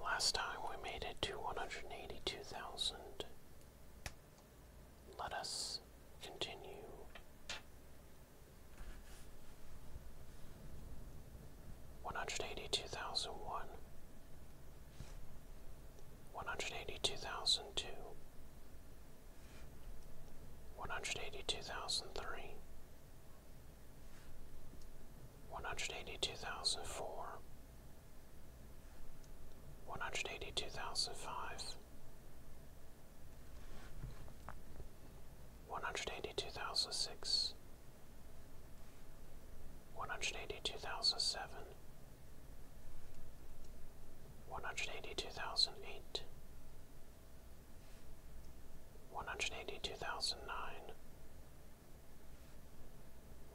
Last time we made it to 182,000. Let us continue. One hundred eighty two thousand one, one hundred eighty two thousand two, one hundred eighty two thousand three, one hundred eighty two thousand four, one hundred eighty two thousand five, one hundred eighty two thousand six, one hundred eighty two thousand seven, one hundred eighty two thousand eight. One hundred eighty two thousand nine,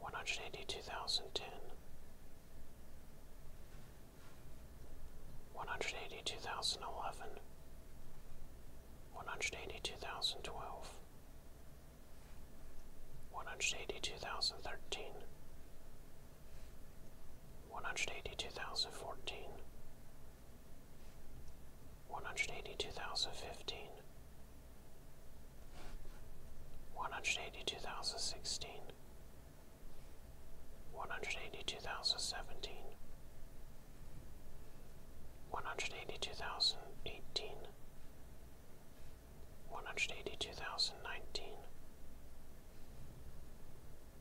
one hundred eighty-two thousand ten. One hundred eighty-two thousand eleven. One hundred eighty-two thousand twelve. One hundred eighty-two thousand thirteen. One hundred eighty-two thousand fourteen. One hundred eighty-two thousand fifteen. One hundred eighty-two thousand sixteen. One hundred eighty-two thousand seventeen. One hundred eighty-two thousand eighteen. One hundred eighty-two thousand nineteen.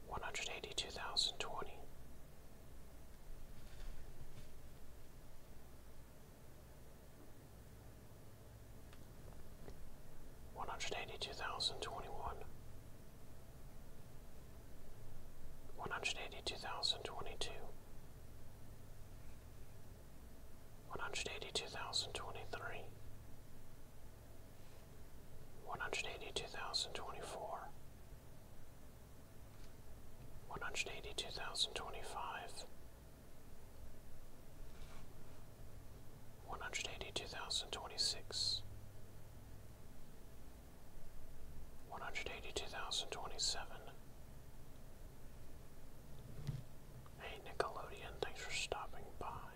One hundred eighty-two thousand twenty one hundred eighty two thousand twenty one, one hundred eighty two thousand twenty two, one hundred eighty two thousand twenty three, one hundred eighty two thousand twenty four. One hundred eighty two thousand twenty five, one hundred eighty two thousand twenty six, one hundred eighty two thousand twenty seven. Hey Nickelodeon, thanks for stopping by.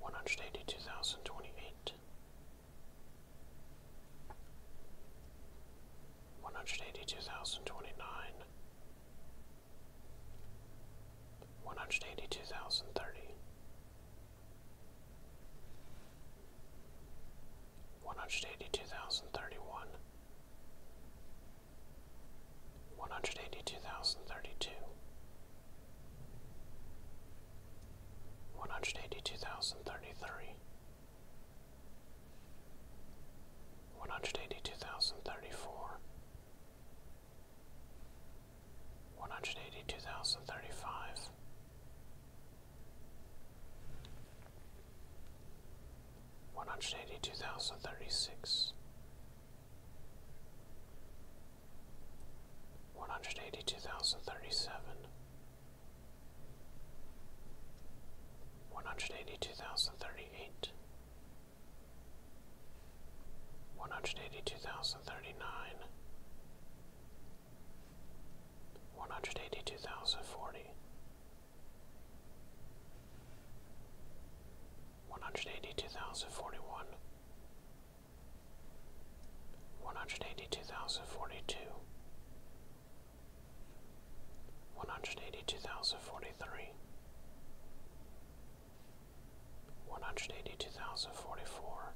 One hundred eighty two thousand twenty eight one hundred eighty two thousand twenty nine, one hundred eighty two thousand thirty, one hundred eighty two thousand thirty one, one hundred eighty two thousand thirty two, one hundred eighty two thousand thirty three. 182,033 one hundred eighty two thousand thirty four, one hundred eighty two thousand thirty five, one hundred eighty two thousand thirty six. One hundred eighty two thousand thirty seven, one hundred eighty two thousand thirty eight, one hundred eighty two thousand thirty nine, one hundred eighty two thousand forty, one hundred eighty two thousand forty one. One hundred eighty two thousand forty two, one hundred eighty two thousand forty three, one hundred eighty two thousand forty four,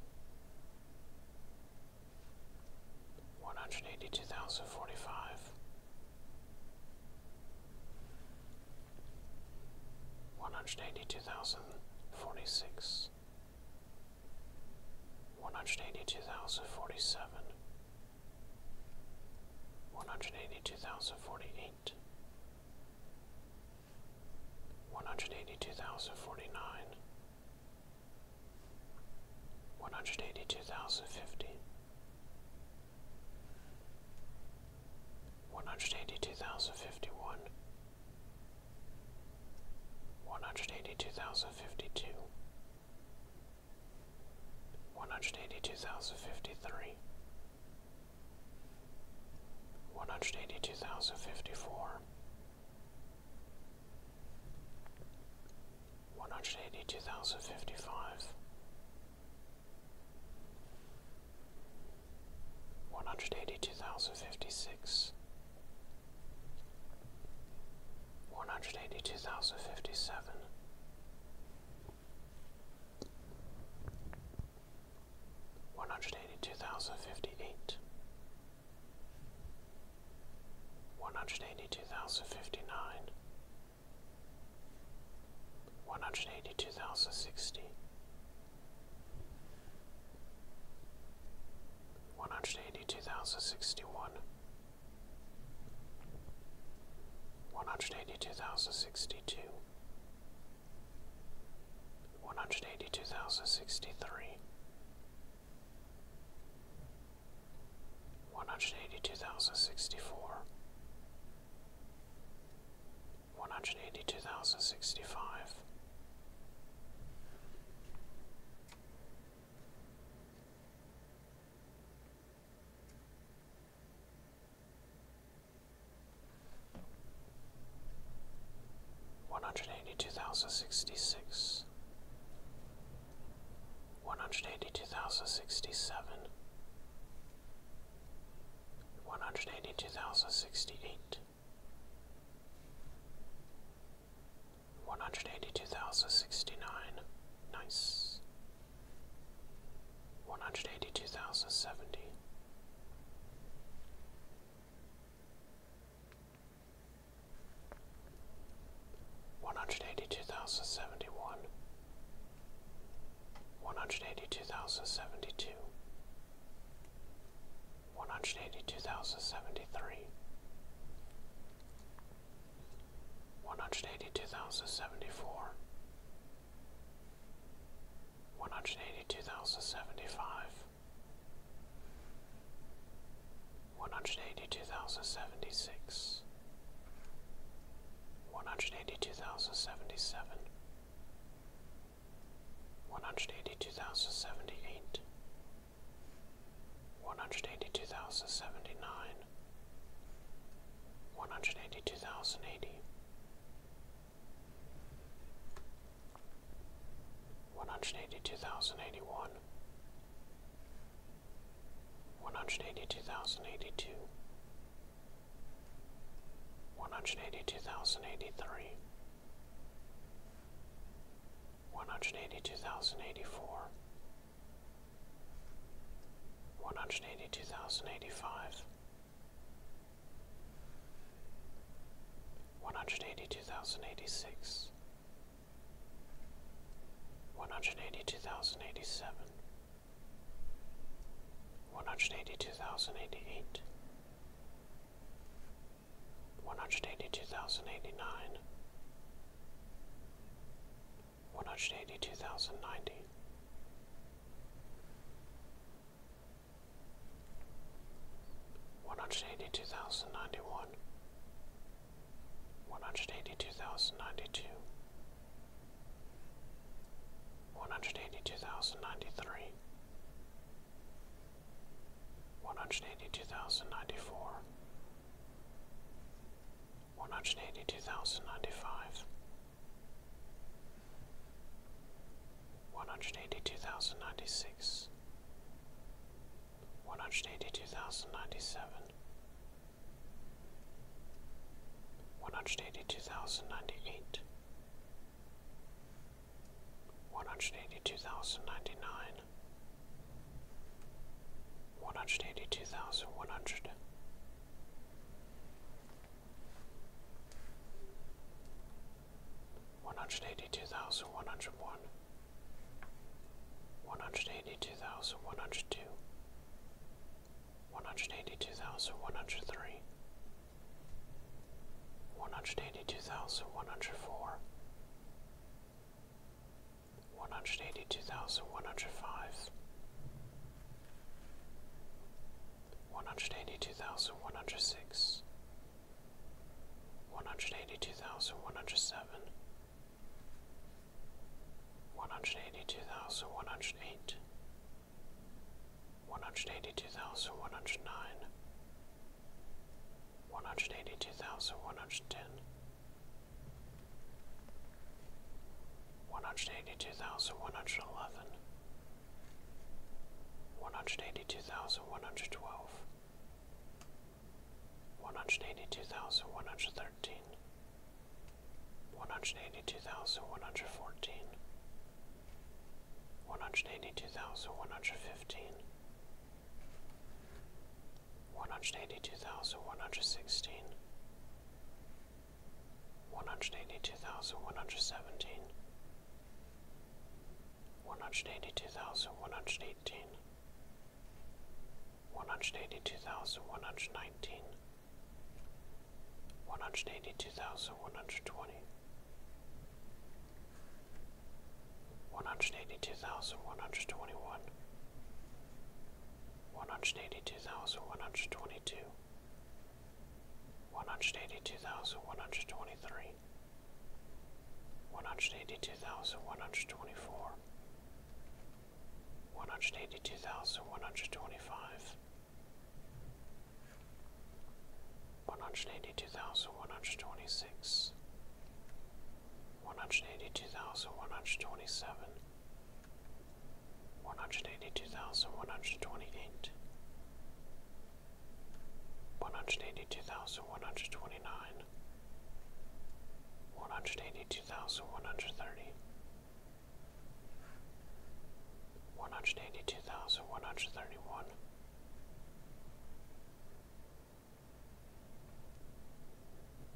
one hundred eighty two thousand forty five, one hundred eighty two thousand forty six. One hundred eighty two thousand forty seven, one hundred eighty two thousand forty eight, one hundred eighty two thousand forty nine, one hundred eighty One hundred eighty-two thousand fifty. One hundred eighty-two thousand fifty-one. fifty one, one hundred eighty two thousand fifty two one hundred eighty two thousand fifty three, one hundred eighty two thousand fifty four, one hundred eighty two thousand fifty five, one hundred eighty two thousand fifty six one hundred eighty two thousand fifty seven. One hundred eighty two thousand fifty eight, one hundred eighty two thousand fifty nine, one hundred eighty two thousand sixty, one hundred eighty two thousand sixty one, one hundred eighty two thousand sixty two, one hundred eighty two thousand sixty three, one hundred eighty two thousand sixty four, one hundred eighty two thousand sixty five. One hundred eighty two thousand sixty six, one hundred eighty two thousand sixty seven, one hundred eighty two thousand sixty eight, one hundred eighty two thousand sixty nine, nice one hundred eighty two thousand seventy. One hundred eighty two thousand seventy one, one hundred eighty two thousand seventy two, one hundred eighty two thousand seventy three, one hundred eighty two thousand seventy four, one hundred eighty two thousand seventy five, one hundred eighty two thousand seventy six, one hundred eighty two thousand seventy seven, one hundred eighty two thousand seventy eight. One hundred eighty two thousand seventy nine, one hundred eighty two thousand eighty, one hundred eighty two thousand eighty one, one hundred eighty two thousand eighty two, one hundred eighty two thousand eighty three. One hundred eighty two thousand eighty four, one hundred eighty two thousand eighty five, one hundred eighty two thousand eighty six, one hundred eighty two thousand eighty seven, one hundred eighty two thousand eighty eight. One hundred eighty two thousand eighty nine, one hundred eighty two thousand ninety. One hundred eighty two thousand ninety one, one hundred eighty two thousand ninety two, one hundred eighty two thousand ninety three, one hundred eighty two thousand ninety four, one hundred eighty two thousand ninety five, one hundred eighty two thousand ninety six, one hundred eighty two thousand ninety seven, one hundred eighty two thousand ninety eight, one hundred eighty two thousand ninety nine. One hundred eighty two thousand one hundred, one hundred eighty two thousand one hundred one, one hundred eighty two thousand one hundred two, one hundred eighty two thousand one hundred three, one hundred eighty two thousand one hundred four one hundred eighty two thousand one hundred five, one hundred eighty two thousand one hundred six, one hundred eighty two thousand one hundred seven, one hundred eighty two thousand one hundred eight, one hundred eighty two thousand one hundred nine. One hundred eighty two thousand one hundred ten, one hundred eighty two thousand one hundred eleven, one hundred eighty two thousand one hundred twelve, one hundred eighty two thousand one hundred thirteen, one hundred eighty two thousand one hundred fourteen, one hundred eighty two thousand one hundred fifteen. One hundred eighty two thousand one hundred sixteen, one hundred eighty two thousand one hundred seventeen, one hundred eighty two thousand one hundred eighteen, one hundred eighty two thousand one hundred nineteen, one hundred eighty two thousand one hundred twenty, one hundred eighty two thousand one hundred twenty one one hundred eighty two thousand one hundred twenty two, one hundred eighty two thousand one hundred twenty three, one hundred eighty two thousand one hundred twenty four, one hundred eighty two thousand one hundred twenty five, one hundred eighty two thousand one hundred twenty six. One hundred eighty two thousand one hundred twenty seven, one hundred eighty two thousand one hundred twenty eight, one hundred eighty two thousand one hundred twenty nine, one hundred eighty two thousand one hundred thirty, one hundred eighty two thousand one hundred thirty one.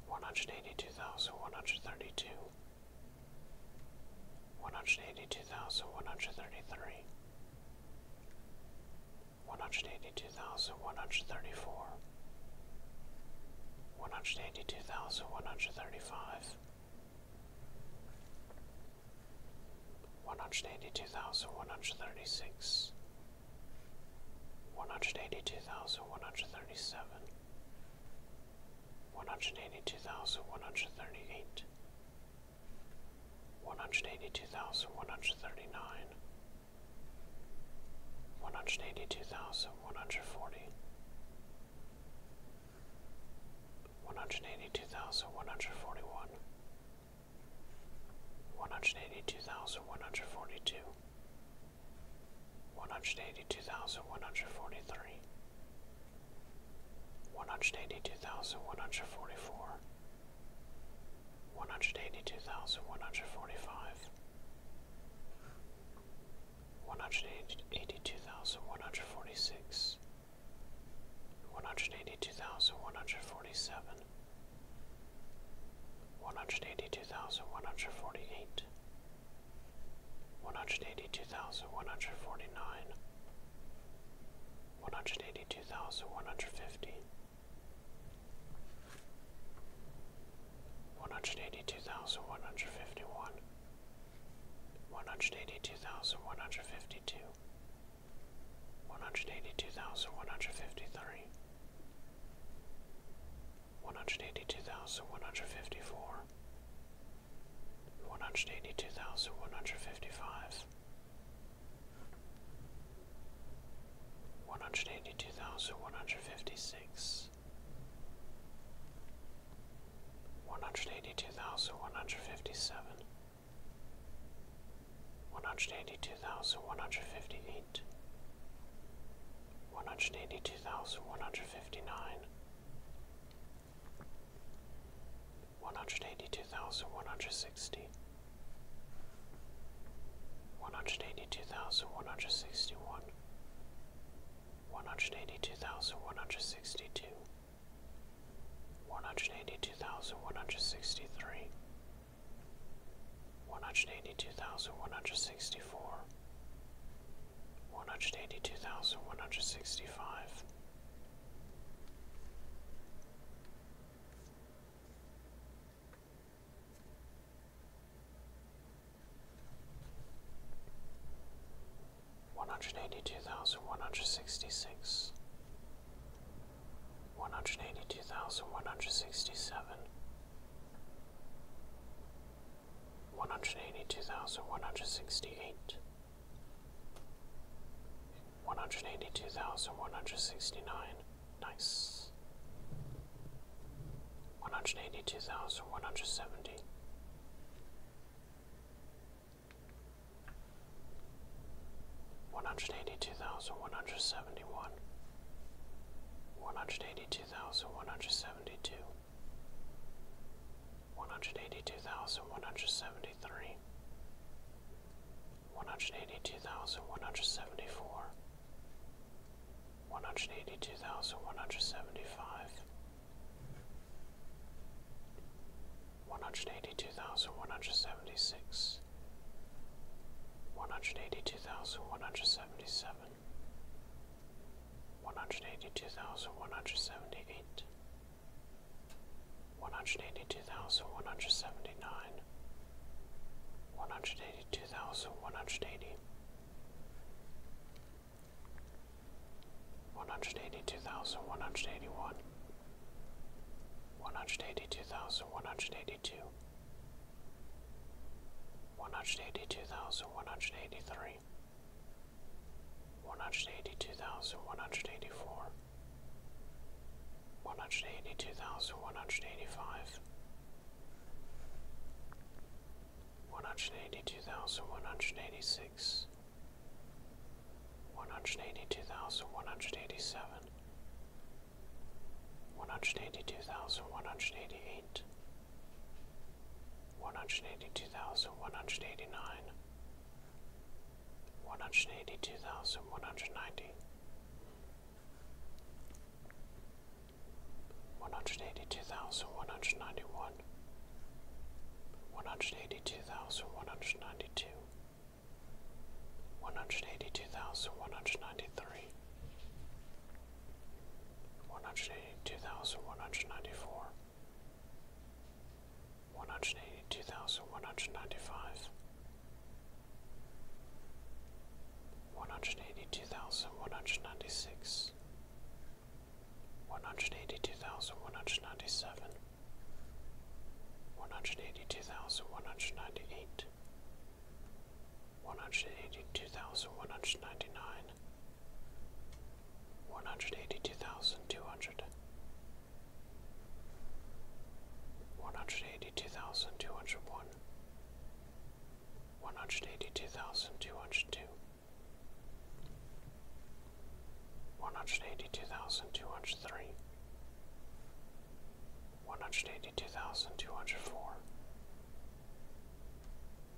One hundred eighty two thousand one hundred thirty two, one hundred eighty two thousand one hundred thirty three, one hundred eighty two thousand one hundred thirty four, one hundred eighty two thousand one hundred thirty five, one hundred eighty two thousand one hundred thirty six. One hundred eighty two thousand one hundred thirty seven, one hundred eighty two thousand one hundred thirty eight, one hundred eighty two thousand one hundred thirty nine, one hundred eighty two thousand one hundred forty, one hundred eighty two thousand one hundred forty one, one hundred eighty two thousand one hundred forty two one hundred eighty two thousand one hundred forty three, one hundred eighty two thousand one hundred forty four, one hundred eighty two thousand one hundred forty five, one hundred eighty two thousand one hundred forty six, one hundred eighty two thousand one hundred forty seven. One hundred eighty two thousand one hundred forty eight, one hundred eighty two thousand one hundred forty nine, one hundred eighty two thousand one hundred fifty, one hundred eighty two thousand one hundred fifty one, one hundred eighty two thousand one hundred fifty two, one hundred eighty two thousand one hundred fifty three. One hundred eighty two thousand one hundred fifty four, one hundred eighty two thousand one hundred fifty five one hundred eighty two thousand one hundred fifty six one hundred eighty two thousand one hundred fifty seven one hundred eighty two thousand one hundred fifty eight one hundred eighty two thousand one hundred fifty nine one hundred eighty two thousand one hundred sixty one hundred eighty two thousand one hundred sixty one one hundred eighty two thousand one hundred sixty two one hundred eighty two thousand one hundred sixty three one hundred eighty two thousand one hundred sixty four one hundred eighty two thousand one hundred sixty five. One hundred eighty two thousand one hundred sixty six, one hundred eighty two thousand one hundred sixty seven, one hundred eighty two thousand one hundred sixty eight, one hundred eighty two thousand one hundred sixty nine, nice, one hundred eighty two thousand one hundred seventy. One hundred eighty two thousand one hundred seventy one, one hundred eighty two thousand one hundred seventy two, one hundred eighty two thousand one hundred seventy three, one hundred eighty two thousand one hundred seventy four, one hundred eighty two thousand one hundred seventy five, one hundred eighty two thousand one hundred seventy six, one hundred eighty two thousand one hundred seventy seven one hundred eighty two thousand one hundred seventy eight, one hundred eighty two thousand one hundred seventy nine, one hundred eighty two thousand one hundred eighty, one hundred eighty two thousand one hundred eighty one, one hundred eighty two thousand one hundred eighty two. One hundred eighty two thousand one hundred eighty three, one hundred eighty two thousand one hundred eighty four, one hundred eighty two thousand one hundred eighty five, one hundred eighty two thousand one hundred eighty six, one hundred eighty two thousand one hundred eighty seven, one hundred eighty two thousand one hundred eighty eight one hundred eighty two thousand one hundred eighty nine, one hundred eighty two thousand one hundred ninety, one hundred eighty two thousand one hundred ninety one, one hundred eighty two thousand one hundred ninety two, one hundred eighty two thousand one hundred ninety three. One hundred eighty two thousand one hundred ninety four, one hundred eighty two thousand one hundred ninety five, one hundred eighty two thousand one hundred ninety six, one hundred eighty two thousand one hundred ninety seven, one hundred eighty two thousand one hundred ninety eight, one hundred eighty two thousand one hundred ninety nine. One hundred eighty-two thousand two hundred. one hundred eighty two thousand two hundred one hundred eighty two thousand two hundred one one hundred eighty two thousand two hundred two one hundred eighty two thousand two hundred three one hundred eighty two thousand two hundred four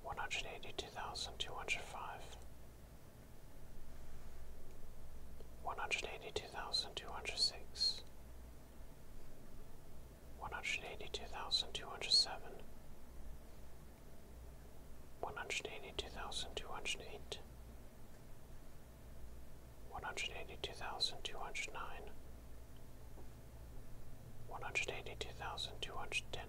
one hundred eighty two thousand two hundred five one hundred eighty two thousand two hundred six, one hundred eighty two thousand two hundred seven, one hundred eighty two thousand two hundred eight, one hundred eighty two thousand two hundred nine, one hundred eighty two thousand two hundred ten.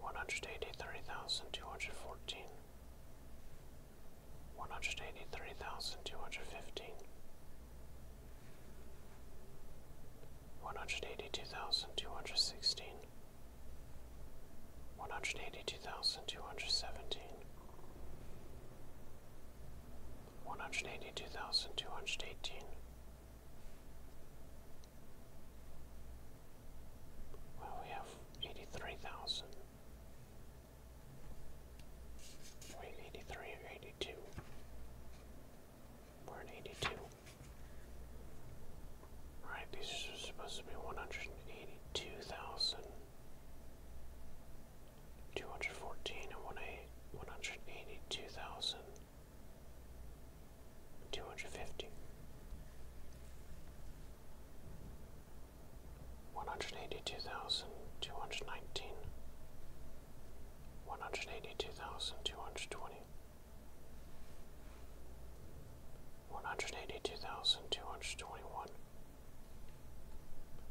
one hundred eighty three thousand two hundred fourteen, one hundred eighty three thousand two hundred fifteen, one hundred eighty two thousand two hundred sixteen, one hundred eighty two thousand two hundred seventeen, one hundred eighty two thousand two hundred eighteen. Well, we have eighty-three thousand. Wait, eighty-three or eighty-two? We're at eighty-two. Alright, these are supposed to be one hundred and eighty-two thousand two hundred fourteen and one eight one hundred eighty-two thousand two hundred fifty, one hundred eighty two thousand two hundred nineteen, one hundred eighty two thousand two hundred twenty, one hundred eighty two thousand two hundred twenty one.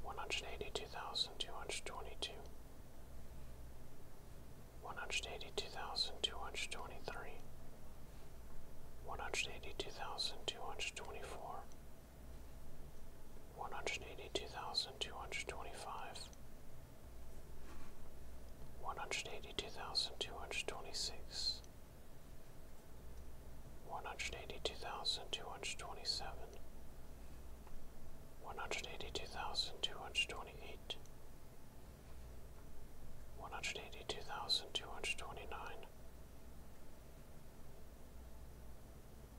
One hundred eighty two thousand two hundred twenty two, one hundred eighty two thousand two hundred twenty three, one hundred eighty two thousand two hundred twenty four, one hundred eighty two thousand two hundred twenty five, one hundred eighty two thousand two hundred twenty six, one hundred eighty two thousand two hundred twenty seven. One hundred eighty two thousand two hundred twenty eight, one hundred eighty two thousand two hundred twenty nine,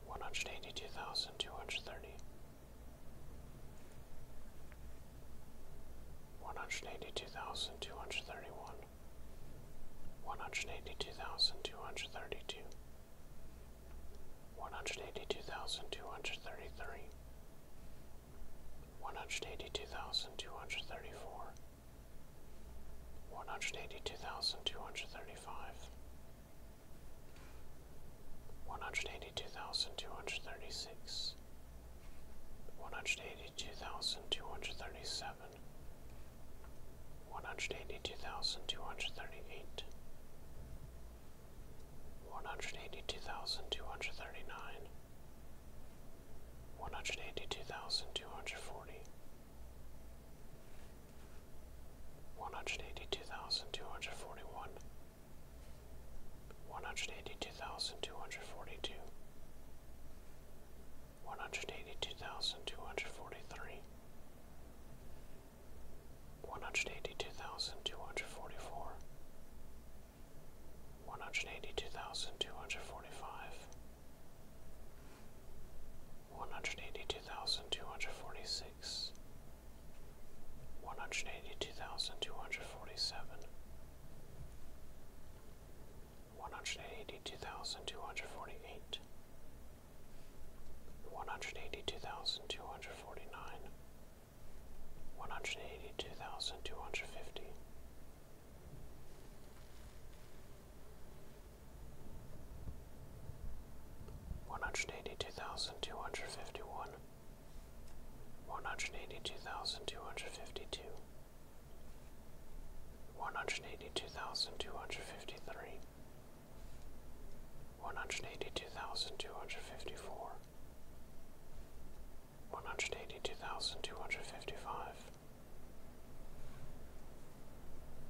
one One hundred eighty-two thousand two hundred thirty-one. thousand two hundred thirty one, one hundred eighty two thousand two hundred thirty two. One hundred eighty two thousand two hundred thirty three, one hundred eighty two thousand two hundred thirty four, one hundred eighty two thousand two hundred thirty five, one hundred eighty two thousand two hundred thirty six, one hundred eighty two thousand two hundred thirty seven, one hundred eighty two thousand two hundred thirty eight, one hundred eighty two thousand two hundred thirty nine. One hundred eighty-two thousand two hundred forty. one hundred eighty two thousand two hundred forty, one hundred eighty two thousand two hundred forty one, one hundred eighty two thousand two hundred forty two, one hundred eighty two thousand two hundred forty three. One hundred eighty two thousand two hundred forty four, one hundred eighty two thousand two hundred forty five, one hundred eighty two thousand two hundred forty six, one hundred eighty two thousand two hundred forty seven, one hundred eighty two thousand two hundred forty eight, one hundred eighty two thousand two hundred forty nine. One hundred eighty two thousand two hundred fifty, one hundred eighty two thousand two hundred fifty one, one hundred eighty two thousand two hundred fifty two, one hundred eighty two thousand two hundred fifty three, one hundred eighty two thousand two hundred fifty four, one hundred eighty two thousand two hundred fifty five,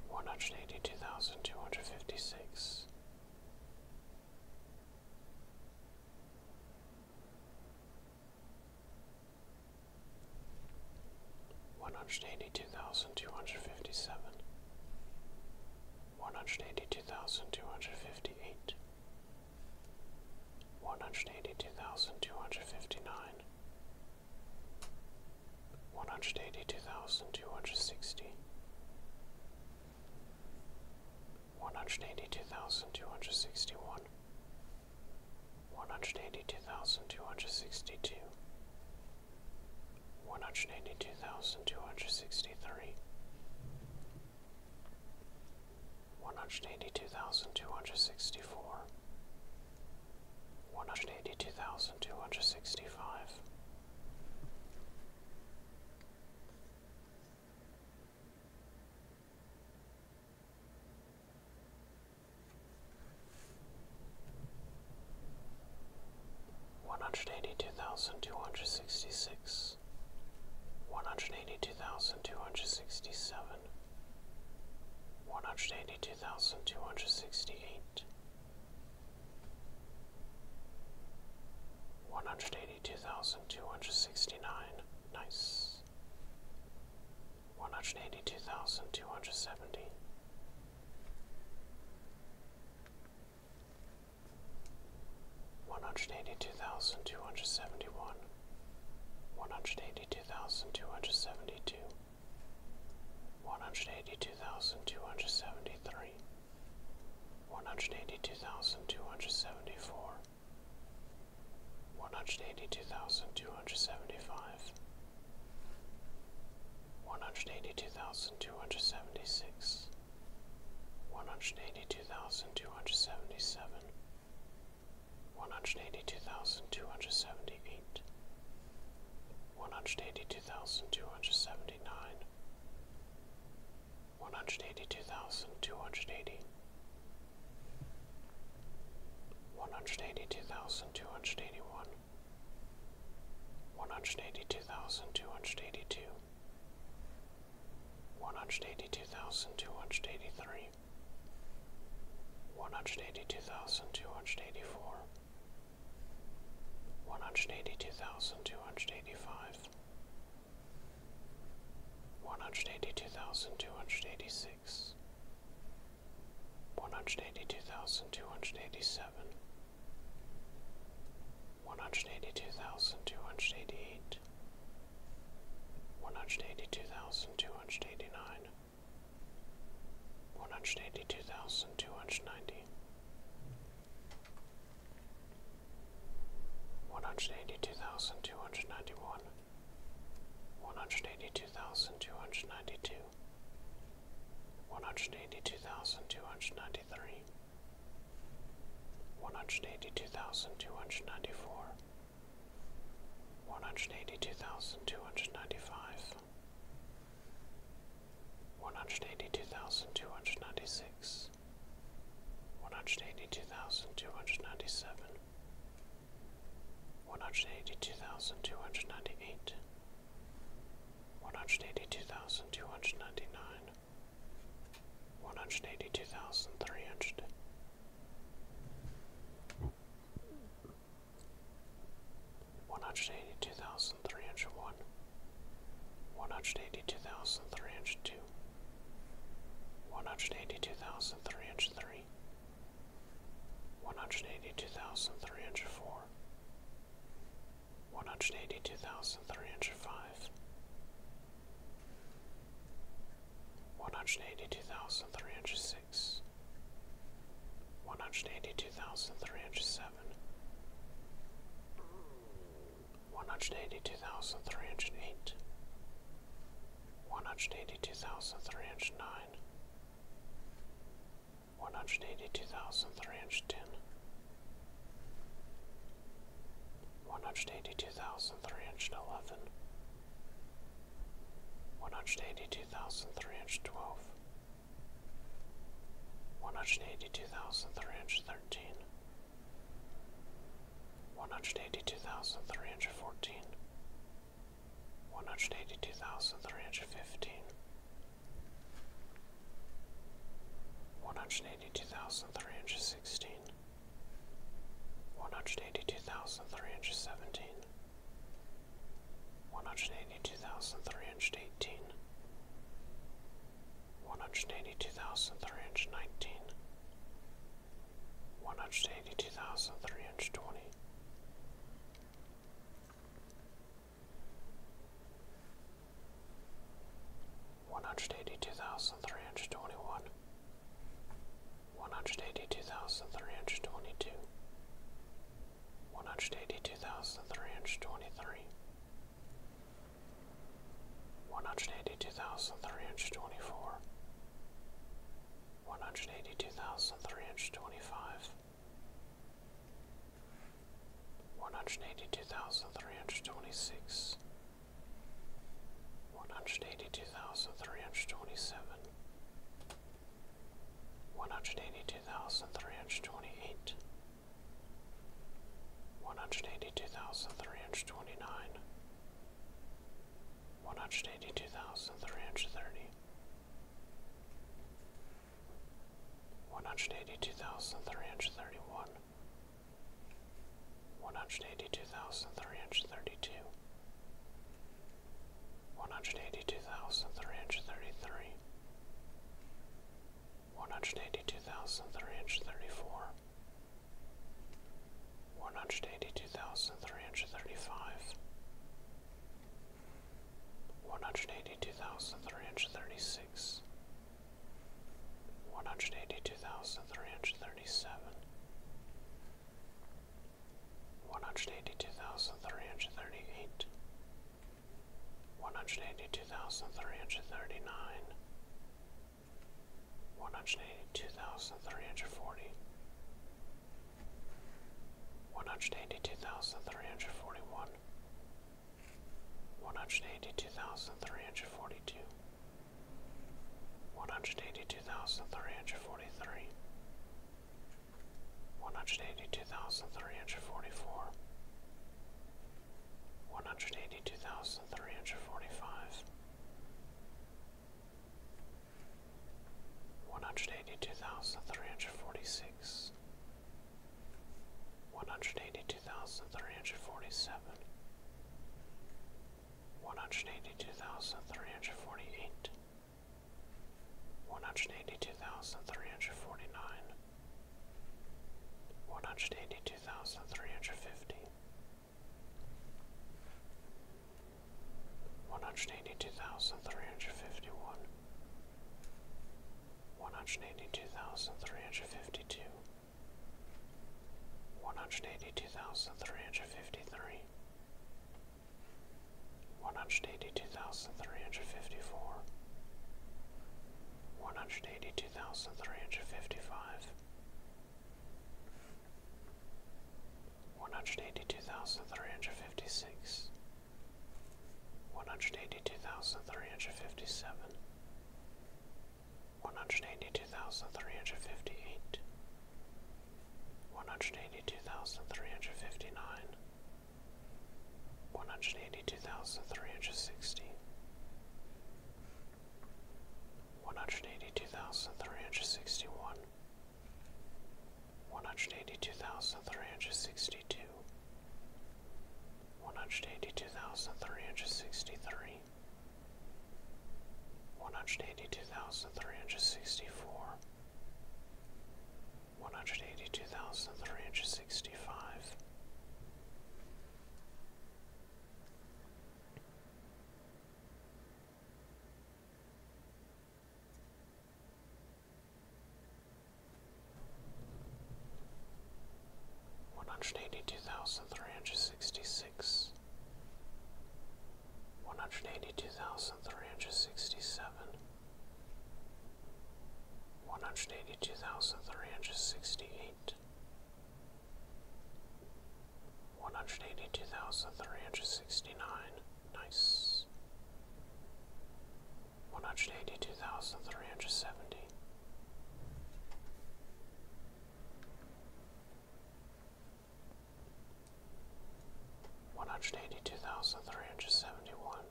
one hundred eighty two thousand two hundred fifty six, one hundred eighty two thousand two hundred fifty seven, one hundred eighty two thousand two hundred fifty eight. One hundred eighty two thousand two hundred fifty nine, one hundred eighty two thousand two hundred sixty one hundred eighty two thousand two hundred sixty one one hundred eighty two thousand two hundred sixty two one hundred eighty two thousand two hundred sixty three one hundred eighty two thousand two hundred sixty four, one hundred eighty two thousand two hundred sixty five. One hundred eighty two thousand two hundred sixty six, one hundred eighty two thousand two hundred sixty seven, one hundred eighty two thousand two hundred sixty eight, one hundred eighty two thousand two hundred sixty nine, nice, one hundred eighty two thousand two hundred seventy. One hundred eighty two thousand two hundred seventy one, one hundred eighty two thousand two hundred seventy two, one hundred eighty two thousand two hundred seventy three, one hundred eighty two thousand two hundred seventy four, one hundred eighty two thousand two hundred seventy five, one hundred eighty two thousand two hundred seventy six. One hundred eighty two thousand two hundred seventy seven, one hundred eighty two thousand two hundred seventy eight, one hundred eighty two thousand two hundred seventy nine, one hundred eighty One hundred eighty-two thousand two hundred eighty-one. two hundred eighty one, one hundred eighty two thousand two hundred eighty two. One hundred eighty two thousand two hundred eighty three, one hundred eighty two thousand two hundred eighty four, one hundred eighty two thousand two hundred eighty five, one hundred eighty two thousand two hundred eighty six, one hundred eighty two thousand two hundred eighty seven, one hundred eighty two thousand two hundred eighty eight. One hundred eighty two thousand two hundred eighty nine, one hundred eighty two thousand two hundred ninety one hundred eighty two thousand two hundred ninety one one hundred eighty two thousand two hundred ninety two one hundred eighty two thousand two hundred ninety three one hundred eighty two thousand two hundred ninety four one hundred eighty two thousand two hundred ninety five, one hundred eighty two thousand two hundred ninety six, one hundred eighty two thousand two hundred ninety seven, one hundred eighty two thousand two hundred ninety eight, one hundred eighty two thousand two hundred ninety nine, one hundred eighty two thousand three hundred one hundred eighty two thousand three hundred one, one hundred eighty two thousand three hundred two, one hundred eighty two thousand three hundred three, one hundred eighty two thousand three hundred four, one hundred eighty two thousand three hundred five one hundred eighty two thousand three hundred six, one hundred eighty two thousand three hundred seven, one hundred eighty two thousand three hundred eight, one hundred eighty two thousand three hundred nine, one hundred eighty two thousand three hundred ten. One hundred eighty two thousand three hundred eleven, one hundred eighty two thousand three hundred twelve, one hundred eighty two thousand three hundred thirteen, one hundred eighty two thousand three hundred fourteen, one hundred eighty two thousand three hundred fifteen, one hundred eighty two thousand three hundred sixteen, one hundred eighty two thousand three hundred seventeen. 182317 one hundred eighty two thousand three hundred eighteen, one hundred eighty two thousand three hundred nineteen, one hundred eighty two thousand three hundred twenty. One hundred eighty two thousand three hundred twenty one, one hundred eighty two thousand three hundred twenty two, one hundred eighty two thousand three hundred twenty three, one hundred eighty two thousand three hundred twenty four, one hundred eighty two thousand three hundred twenty five, one hundred eighty two thousand three hundred twenty six. One hundred eighty two thousand three hundred twenty seven, one hundred eighty two thousand three hundred twenty eight, one hundred eighty two thousand three hundred twenty nine, one hundred eighty two thousand three hundred thirty, one hundred eighty two thousand three hundred thirty one, one hundred eighty two thousand three hundred thirty two one hundred eighty two thousand three hundred thirty three, one hundred eighty two thousand three hundred thirty four, one hundred eighty two thousand three hundred thirty five, one hundred eighty two thousand three hundred thirty six. One hundred eighty two thousand three hundred thirty seven, one hundred eighty two thousand three hundred thirty eight, one hundred eighty two thousand three hundred thirty nine, one hundred eighty two thousand three hundred forty, one hundred eighty two thousand three hundred forty one, one hundred eighty two thousand three hundred forty two. One hundred eighty two thousand three hundred forty three, one hundred eighty two thousand three hundred forty four, one hundred eighty two thousand three hundred forty five, one hundred eighty two thousand three hundred forty six, one hundred eighty two thousand three hundred forty seven. One hundred eighty two thousand three hundred forty eight, one hundred eighty two thousand three hundred forty nine, one hundred eighty two thousand three hundred fifty, one hundred eighty two thousand three hundred fifty one, one hundred eighty two thousand three hundred fifty two, one hundred eighty two thousand three hundred fifty three one hundred eighty two thousand three hundred fifty four, one hundred eighty two thousand three hundred fifty five, one hundred eighty two thousand three hundred fifty six, one hundred eighty two thousand three hundred fifty seven, one hundred eighty two thousand three hundred fifty eight one hundred eighty two thousand three hundred fifty nine, one hundred eighty two thousand three hundred sixty, one hundred eighty two thousand three hundred sixty one, one hundred eighty two thousand three hundred sixty two, one hundred eighty two thousand three hundred sixty three. One hundred eighty two thousand three hundred sixty four, one hundred eighty two thousand three hundred sixty five, one hundred eighty two thousand three hundred sixty six. One hundred eighty two thousand three hundred sixty seven, one hundred eighty two thousand three hundred sixty eight, one hundred eighty two thousand three hundred sixty nine, nice, one hundred eighty two thousand three hundred seventy one hundred eighty two thousand three hundred seventy one,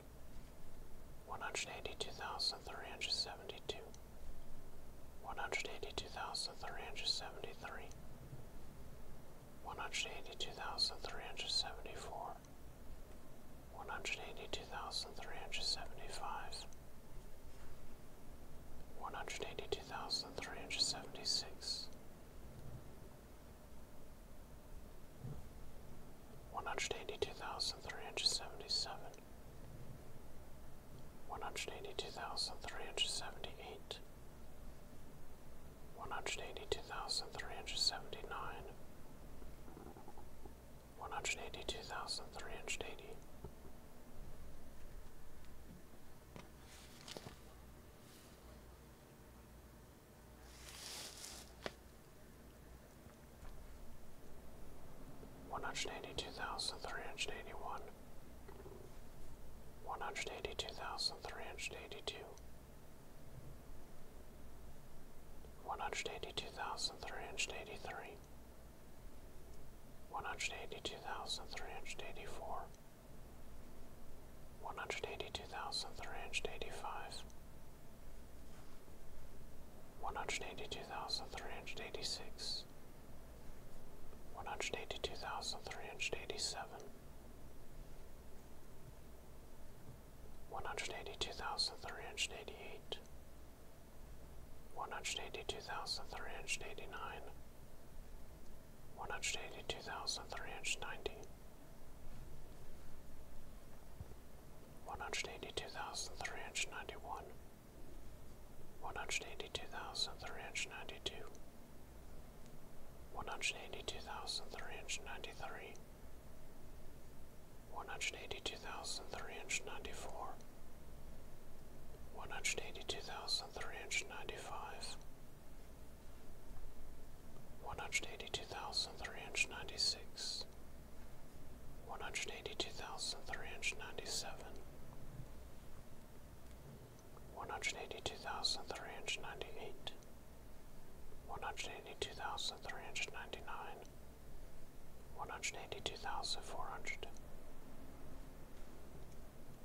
one hundred eighty two thousand three hundred seventy two, one hundred eighty two thousand three hundred seventy three, one hundred eighty two thousand three hundred seventy four, one hundred eighty two thousand three hundred seventy five, one hundred eighty two thousand three hundred seventy six one hundred eighty two thousand three hundred seventy seven, one hundred eighty two thousand three hundred seventy eight, one hundred eighty two thousand three hundred seventy nine, one hundred eighty two thousand three hundred eighty. One hundred eighty two thousand three hundred eighty one, one hundred eighty two thousand three hundred eighty two, one hundred eighty two thousand three hundred eighty three, one hundred eighty two thousand three hundred eighty four, one hundred eighty two thousand three hundred eighty five, one hundred eighty two thousand three hundred eighty six, one hundred eighty two thousand three hundred eighty seven, one hundred eighty two thousand three hundred eighty eight, one hundred eighty two thousand three hundred eighty nine. One hundred eighty two thousand three hundred ninety, one hundred eighty two thousand three hundred ninety one, one hundred eighty two thousand three hundred ninety two, one hundred eighty two thousand three hundred ninety three, one hundred eighty two thousand three hundred ninety four, one hundred eighty two thousand three hundred ninety five one hundred eighty two thousand three hundred ninety six, one hundred eighty two thousand three hundred ninety seven, one hundred eighty two thousand three hundred ninety eight, one hundred eighty two thousand three hundred ninety nine, one hundred eighty two thousand four hundred.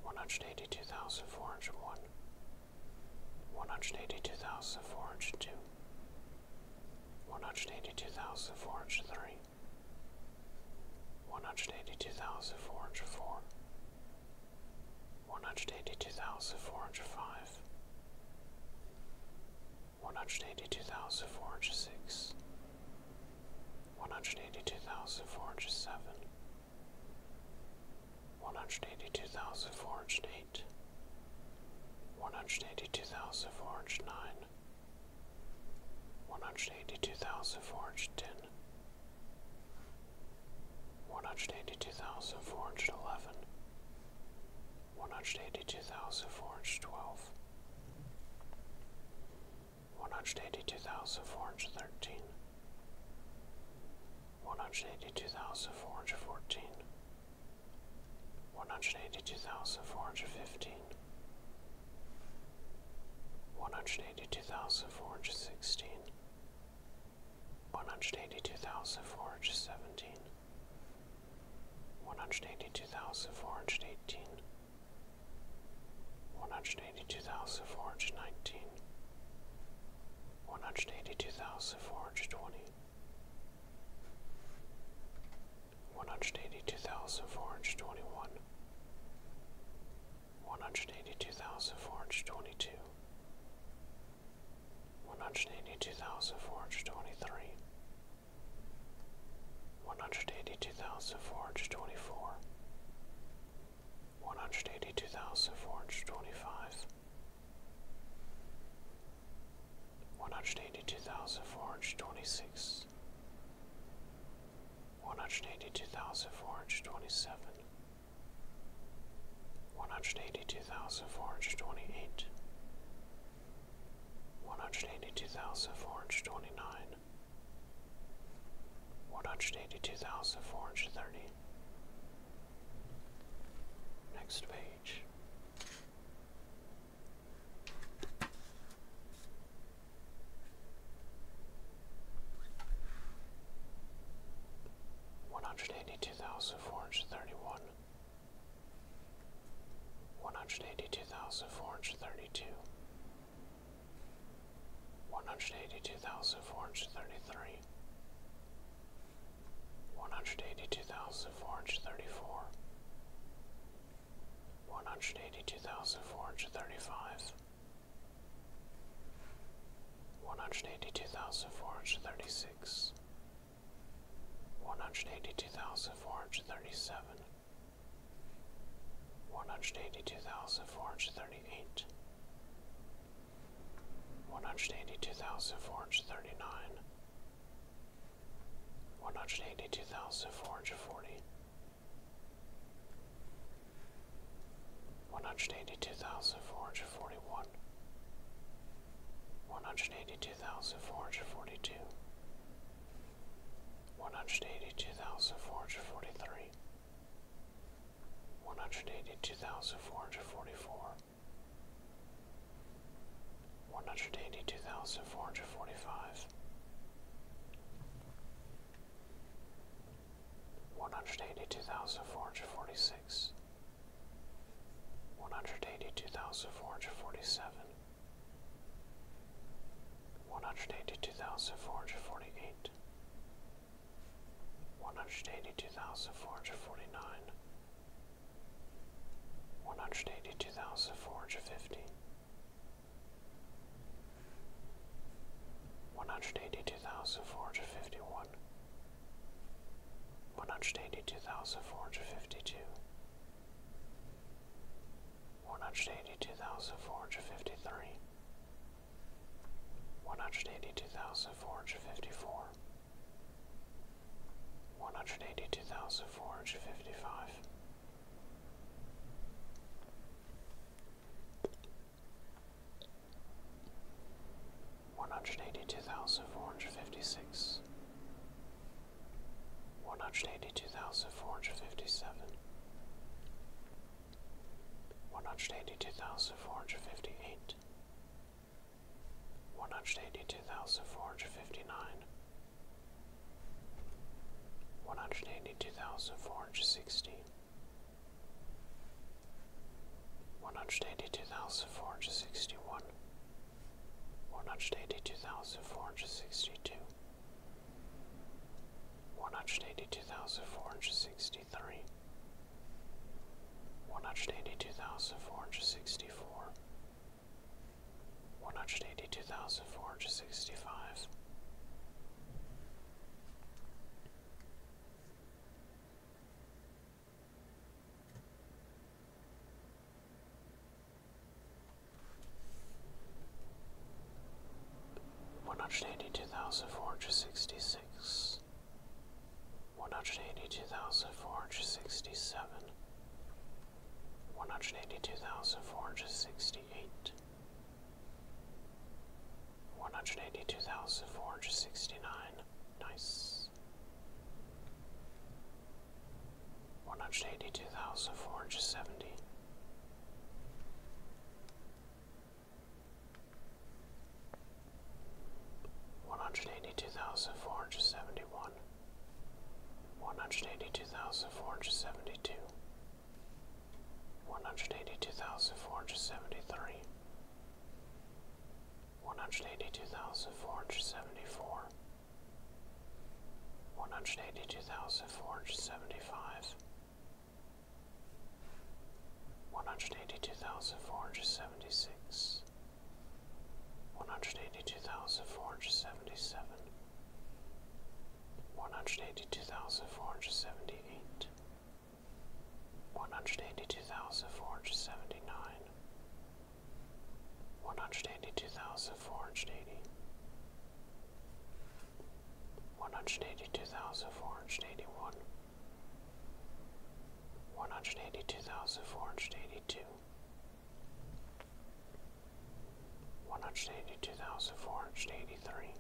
One hundred eighty two thousand four hundred one, one hundred eighty two thousand four hundred two, one hundred eighty two thousand four hundred three, one hundred eighty two thousand four hundred four, one hundred eighty two thousand four hundred five, one hundred eighty two thousand four hundred six, one hundred eighty two thousand four hundred seven one hundred eighty two thousand four hundred eight, one hundred eighty two thousand four hundred nine, one hundred eighty two thousand four hundred ten, one hundred eighty two thousand four hundred eleven, one hundred eighty two thousand four hundred twelve, one hundred eighty two thousand four hundred thirteen. One hundred eighty two thousand four hundred fourteen, one hundred eighty-two thousand four hundred fifteen. One hundred eighty-two thousand four hundred sixteen. One hundred eighty-two thousand four hundred seventeen. One hundred eighty-two thousand four hundred eighteen. One hundred eighty-two thousand four hundred nineteen. One hundred eighty-two thousand four hundred twenty one hundred eighty two thousand four hundred twenty one, one hundred eighty two thousand four hundred twenty two, one hundred eighty two thousand four hundred twenty three, one hundred eighty two thousand four hundred twenty four, one hundred eighty two thousand four hundred twenty five. 182425 one hundred eighty two thousand four hundred twenty six, one hundred eighty two thousand four hundred twenty seven, one hundred eighty two thousand four hundred twenty eight, one hundred eighty two thousand four hundred twenty nine, one hundred eighty two thousand four hundred thirty. Next page. One hundred eighty two thousand four hundred thirty one, one hundred eighty two thousand four hundred thirty two, one hundred eighty two thousand four hundred thirty three, one hundred eighty two thousand four hundred thirty four, one hundred eighty two thousand four hundred thirty five, one hundred eighty two thousand four hundred thirty six, one hundred eighty two thousand four hundred thirty seven, one hundred eighty two thousand four hundred thirty eight. One hundred eighty two thousand four hundred thirty nine, one hundred eighty two thousand four hundred forty one hundred eighty two thousand four hundred forty one one hundred eighty two thousand four hundred forty two one hundred eighty two thousand four hundred forty three one hundred eighty two thousand four hundred forty four one hundred eighty two thousand four hundred forty five, one hundred eighty two thousand four hundred forty six, one hundred eighty two thousand four hundred forty seven, one hundred eighty two thousand four hundred forty eight. One hundred eighty two thousand four hundred forty nine, one hundred eighty two thousand four hundred fifty one hundred eighty two thousand four hundred fifty one one hundred eighty two thousand four hundred fifty two one hundred eighty two thousand four hundred fifty three one hundred eighty two thousand four hundred fifty four one hundred eighty two thousand four hundred fifty five, one hundred eighty two thousand four hundred fifty six, one hundred eighty two thousand four hundred fifty seven, one hundred eighty two thousand four hundred fifty eight one hundred eighty two thousand four hundred fifty nine, one One hundred eighty-two thousand four hundred sixty-one. thousand four hundred sixty one, one hundred eighty two thousand four hundred sixty two, one hundred eighty two thousand four hundred sixty three. One hundred eighty two thousand four hundred sixty four, one hundred eighty two thousand four hundred sixty five. One hundred eighty two thousand four hundred sixty six, one hundred eighty two thousand four hundred sixty seven, one hundred eighty two thousand four hundred sixty eight, one hundred eighty two thousand four hundred sixty nine, nice. One hundred eighty two thousand four hundred seventy. One hundred eighty two thousand four hundred seventy one, one hundred eighty two thousand four hundred seventy two, one hundred eighty two thousand four hundred seventy three, one hundred eighty two thousand four hundred seventy four, one hundred eighty two thousand four hundred seventy five, one hundred eighty two thousand four hundred seventy six. 182475 182476 one hundred eighty two thousand four hundred seventy seven, one hundred eighty two thousand four hundred seventy eight, one hundred eighty two thousand four hundred seventy nine, one hundred eighty two One hundred eighty-two thousand four hundred eighty. One hundred eighty-two thousand four hundred eighty-one. eighty one. One hundred eighty two thousand four hundred eighty two, one hundred eighty two thousand four hundred eighty three,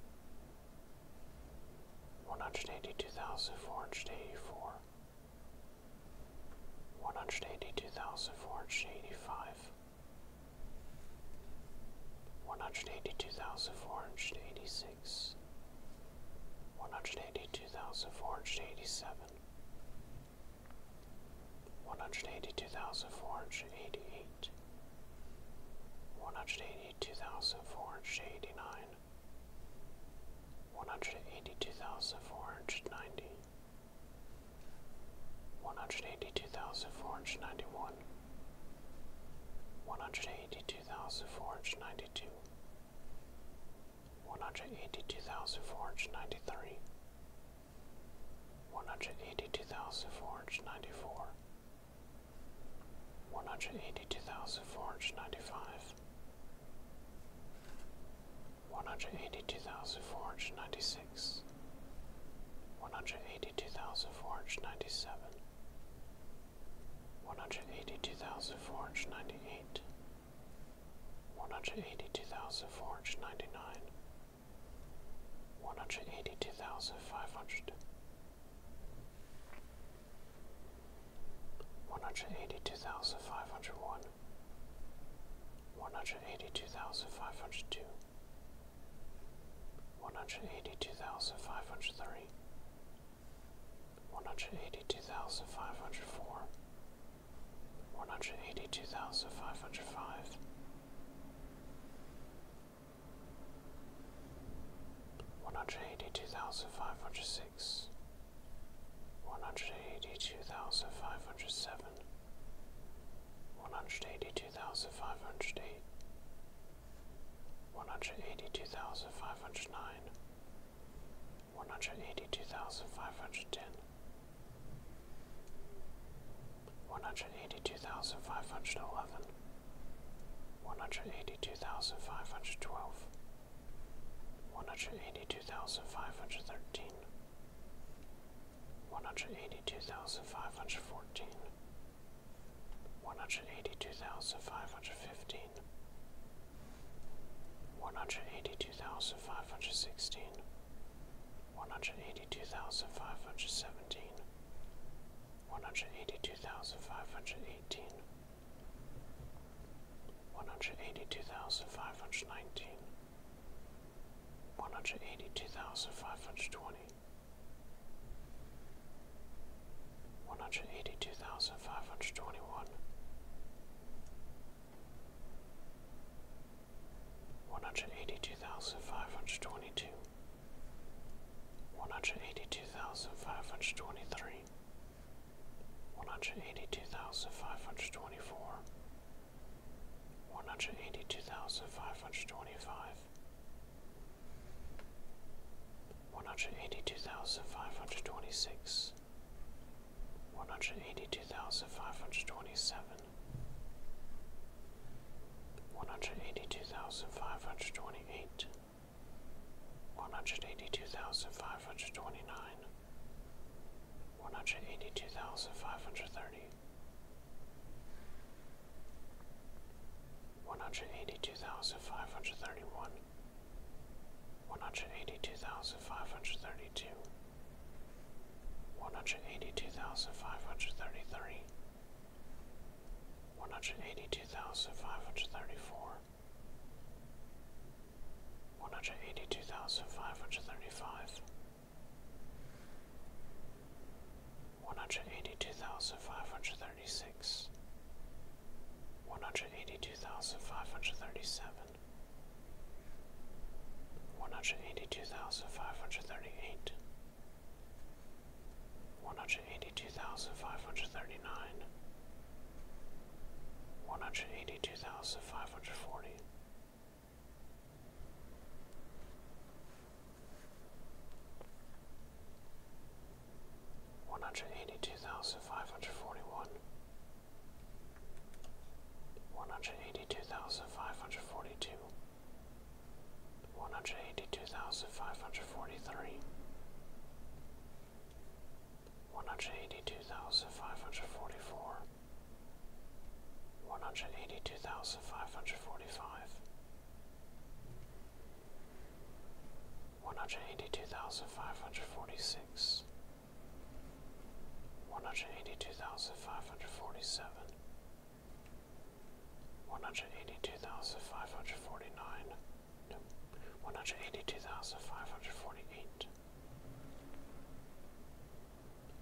one hundred eighty two thousand four hundred eighty four, one hundred eighty two thousand four hundred eighty five, one hundred eighty two thousand four hundred eighty six, one hundred eighty two thousand four hundred eighty seven one hundred eighty two thousand four hundred eighty eight, one hundred eighty two thousand four hundred eighty nine, one hundred eighty two thousand four hundred ninety, one hundred eighty two thousand four hundred ninety one, one hundred eighty two thousand four hundred ninety two one hundred eighty two thousand four hundred ninety three, one hundred eighty two thousand four hundred ninety four, one hundred eighty two thousand four hundred ninety five, one hundred eighty two thousand four hundred ninety six, one hundred eighty two thousand four hundred ninety seven. One hundred eighty two thousand four hundred ninety eight, one hundred eighty two thousand four hundred ninety nine, one hundred eighty two thousand five hundred, one hundred eighty two thousand five hundred one, one hundred eighty two thousand five hundred two, one hundred eighty two thousand five hundred three. One hundred eighty two thousand five hundred four, one hundred eighty two thousand five hundred five, one hundred eighty two thousand five hundred six, one hundred eighty two thousand five hundred seven, one hundred eighty two thousand five hundred eight. One hundred eighty two thousand five hundred nine, one hundred eighty two thousand five hundred ten, one hundred eighty two thousand five hundred eleven, one hundred eighty two thousand five hundred twelve, one hundred eighty two thousand five hundred thirteen, one hundred eighty two thousand five hundred fourteen, one hundred eighty two thousand five hundred fifteen. One hundred eighty two thousand five hundred sixteen, one hundred eighty-two thousand five hundred eighteen. One hundred eighty-two thousand five hundred nineteen. One hundred eighty-two thousand five hundred twenty. thousand five hundred nineteen, one hundred eighty two thousand five hundred twenty. One hundred eighty two thousand five hundred twenty one, one hundred eighty two thousand five hundred twenty two, one hundred eighty two thousand five hundred twenty three, one hundred eighty two thousand five hundred twenty four, one hundred eighty two thousand five hundred twenty five, one hundred eighty two thousand five hundred twenty six one hundred eighty two thousand five hundred twenty seven, one hundred eighty two thousand five hundred twenty eight, one hundred eighty two thousand five hundred twenty nine, one hundred eighty two thousand five hundred thirty. 182531 182532 one hundred eighty two thousand five hundred thirty three, one hundred eighty two thousand five hundred thirty four, one hundred eighty two thousand five hundred thirty five, one hundred eighty two thousand five hundred thirty six, one hundred eighty two thousand five hundred thirty seven one hundred eighty two thousand five hundred thirty eight, one hundred eighty two thousand five hundred thirty nine, one hundred eighty two thousand five hundred forty. One hundred eighty two thousand five hundred forty one, one hundred eighty two thousand five hundred forty two, one hundred eighty two thousand five hundred forty three, one hundred eighty two thousand five hundred forty four, one hundred eighty two thousand five hundred forty five. One hundred eighty two thousand five hundred forty six, one hundred eighty two thousand five hundred forty seven, one hundred eighty two thousand five hundred forty nine, no, one hundred eighty two thousand five hundred forty eight,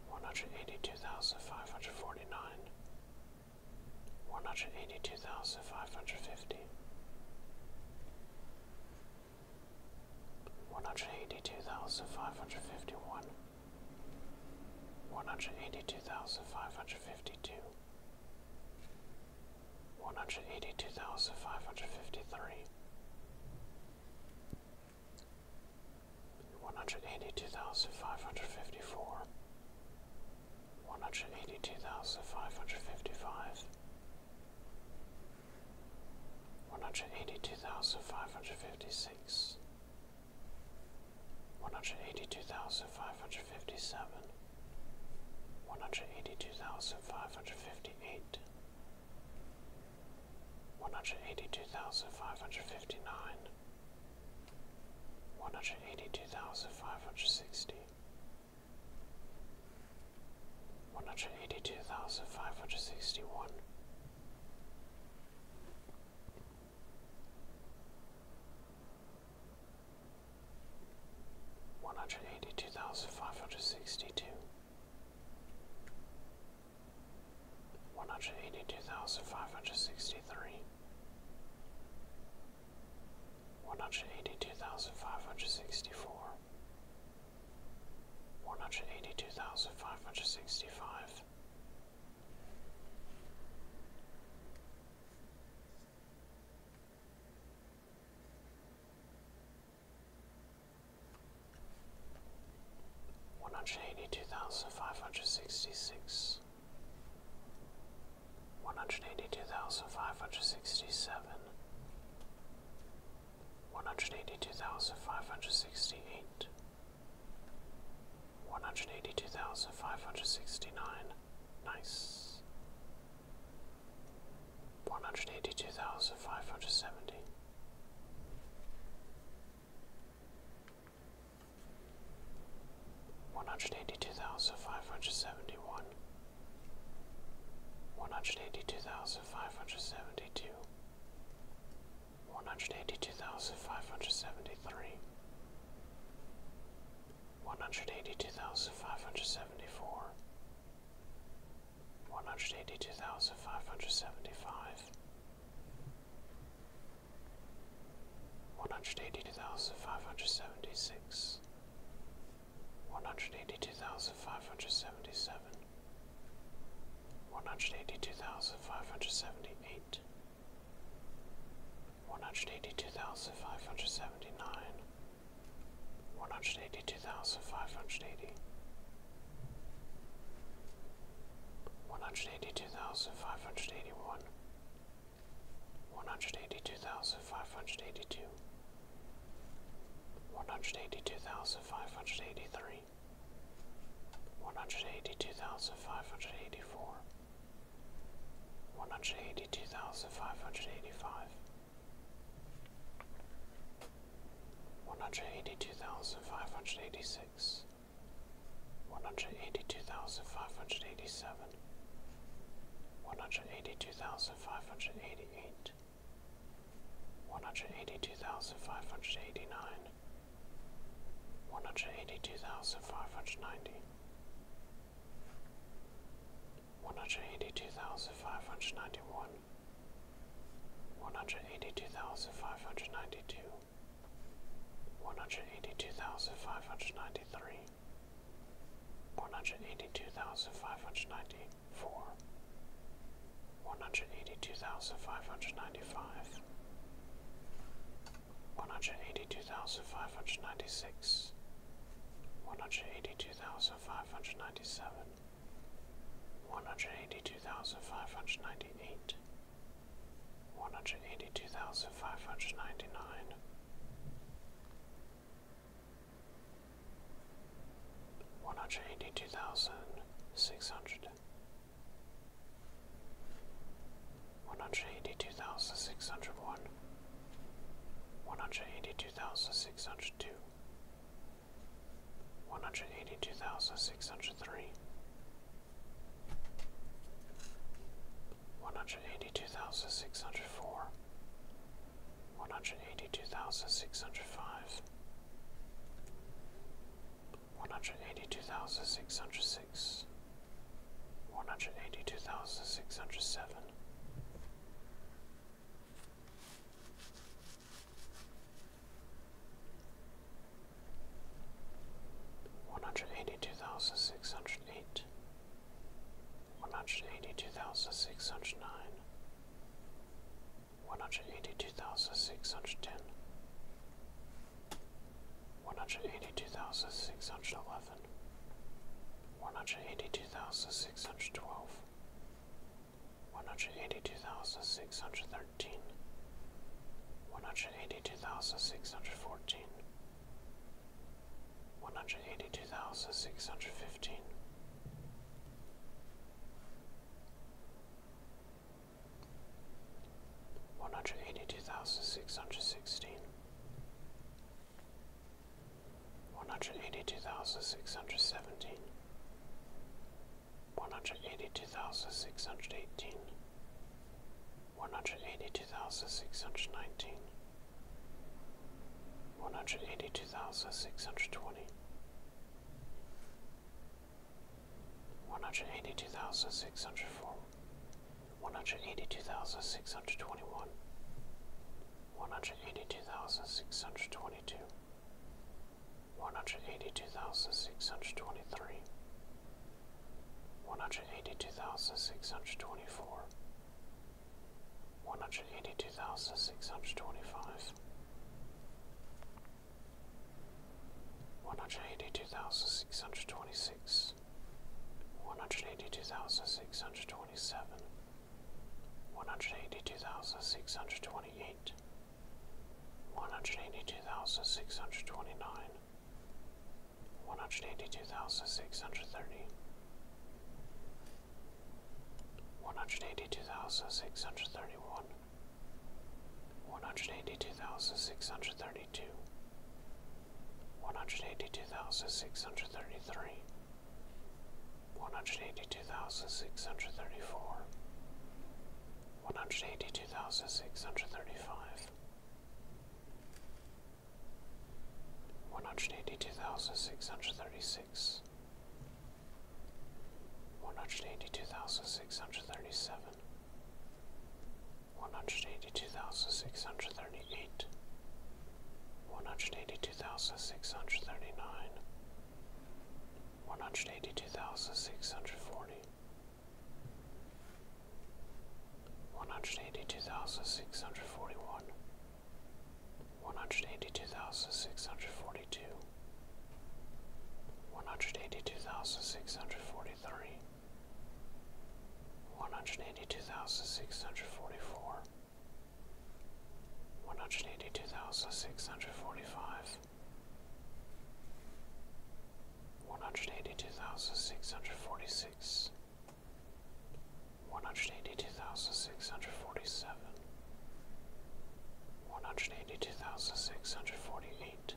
one hundred eighty two thousand five hundred forty nine, one hundred eighty two thousand five hundred fifty. One hundred eighty two thousand five hundred fifty one, one hundred eighty two thousand five hundred fifty two, one hundred eighty two thousand five hundred fifty three, one hundred eighty two thousand five hundred fifty four, one hundred eighty two thousand five hundred fifty five. One hundred eighty two thousand five hundred fifty six, six, one hundred eighty two thousand five hundred fifty seven, one hundred eighty two thousand five hundred fifty eight, one hundred eighty two thousand five hundred fifty nine, one hundred eighty two thousand five hundred sixty. One hundred eighty two thousand five hundred sixty one, one hundred eighty two thousand five hundred sixty two, one hundred eighty two thousand five hundred sixty three, one hundred eighty two thousand five hundred sixty four, one hundred eighty two thousand five hundred sixty five. One hundred eighty two thousand five hundred sixty six, one hundred eighty two thousand five hundred sixty seven, one hundred eighty two thousand five hundred sixty eight, one hundred eighty two thousand five hundred sixty nine. Nice. One hundred eighty two thousand five hundred seventy. One hundred eighty two thousand five hundred seventy one. One hundred eighty two thousand five hundred seventy two one hundred eighty two thousand five hundred seventy three, one hundred eighty two thousand five hundred seventy four, one hundred eighty two thousand five hundred seventy five, one hundred eighty two thousand five hundred seventy six, one hundred eighty two thousand five hundred seventy seven one hundred eighty two thousand five hundred seventy eight, one hundred eighty two thousand five hundred seventy nine, one hundred eighty One hundred eighty-two thousand five hundred eighty. One hundred eighty-two thousand five hundred eighty-one. five hundred eighty one, one hundred eighty two thousand five hundred eighty two. One hundred eighty two thousand five hundred eighty three, Missouri, one hundred eighty two thousand five hundred eighty four, one hundred eighty two thousand five hundred eighty five, one hundred eighty two thousand five hundred eighty six, one hundred eighty two thousand five hundred eighty seven, one hundred eighty two thousand five hundred eighty eight. One hundred eighty two thousand five hundred eighty nine, one hundred eighty two thousand five hundred ninety one hundred eighty two thousand five hundred ninety one one hundred eighty two thousand five hundred ninety two one hundred eighty two thousand five hundred ninety three one hundred eighty two thousand five hundred ninety four one hundred eighty two thousand five hundred ninety five, one hundred eighty two thousand five hundred ninety six, one hundred eighty two thousand five hundred ninety seven, one hundred eighty two thousand five hundred ninety eight, one hundred eighty two thousand five hundred ninety nine. One hundred eighty two thousand six hundred, one hundred eighty two thousand six hundred one, one hundred eighty two thousand six hundred two, one hundred eighty two thousand six hundred three, one hundred eighty two thousand six hundred four, one hundred eighty two thousand six hundred five one hundred eighty two thousand six hundred six, one hundred eighty two thousand six hundred seven. One hundred eighty two thousand six hundred eight, one hundred eighty two thousand six hundred nine, one hundred eighty two thousand six hundred ten, one hundred eighty two thousand six hundred eleven, one hundred eighty two thousand six hundred twelve, one hundred eighty two thousand six hundred thirteen, one hundred eighty two thousand six hundred fourteen, one hundred eighty two thousand six hundred fifteen. One hundred eighty-two thousand six hundred seventeen. One hundred eighty-two thousand six hundred eighteen. One hundred eighty-two thousand six hundred nineteen. One hundred eighty-two thousand six hundred twenty one hundred eighty two thousand six hundred four, one hundred eighty two thousand six hundred twenty one, one hundred eighty two thousand six hundred twenty two, one hundred eighty two thousand six hundred twenty three, one hundred eighty two thousand six hundred twenty four, one hundred eighty two thousand six hundred twenty five one hundred eighty two thousand six hundred twenty six, one hundred eighty two thousand six hundred twenty seven, one hundred eighty two thousand six hundred twenty eight, one hundred eighty two thousand six hundred twenty nine, one hundred eighty two thousand six hundred thirty. One hundred eighty two thousand six hundred thirty one, one hundred eighty two thousand six hundred thirty two, one hundred eighty two thousand six hundred thirty three, one hundred eighty two thousand six hundred thirty four, one hundred eighty two thousand six hundred thirty five. One hundred eighty two thousand six hundred thirty six, one hundred eighty two thousand six hundred thirty seven, one hundred eighty two thousand six hundred thirty eight, one hundred eighty two thousand six hundred thirty nine, one hundred eighty One hundred eighty-two thousand six hundred forty. One hundred eighty-two thousand six hundred forty-one. six hundred forty one, one hundred eighty two thousand six hundred forty two. One hundred eighty two thousand six hundred forty three, one hundred eighty two thousand six hundred forty four, one hundred eighty two thousand six hundred forty five, one hundred eighty two thousand six hundred forty six, one hundred eighty two thousand six hundred forty seven, one hundred eighty two thousand six hundred forty eight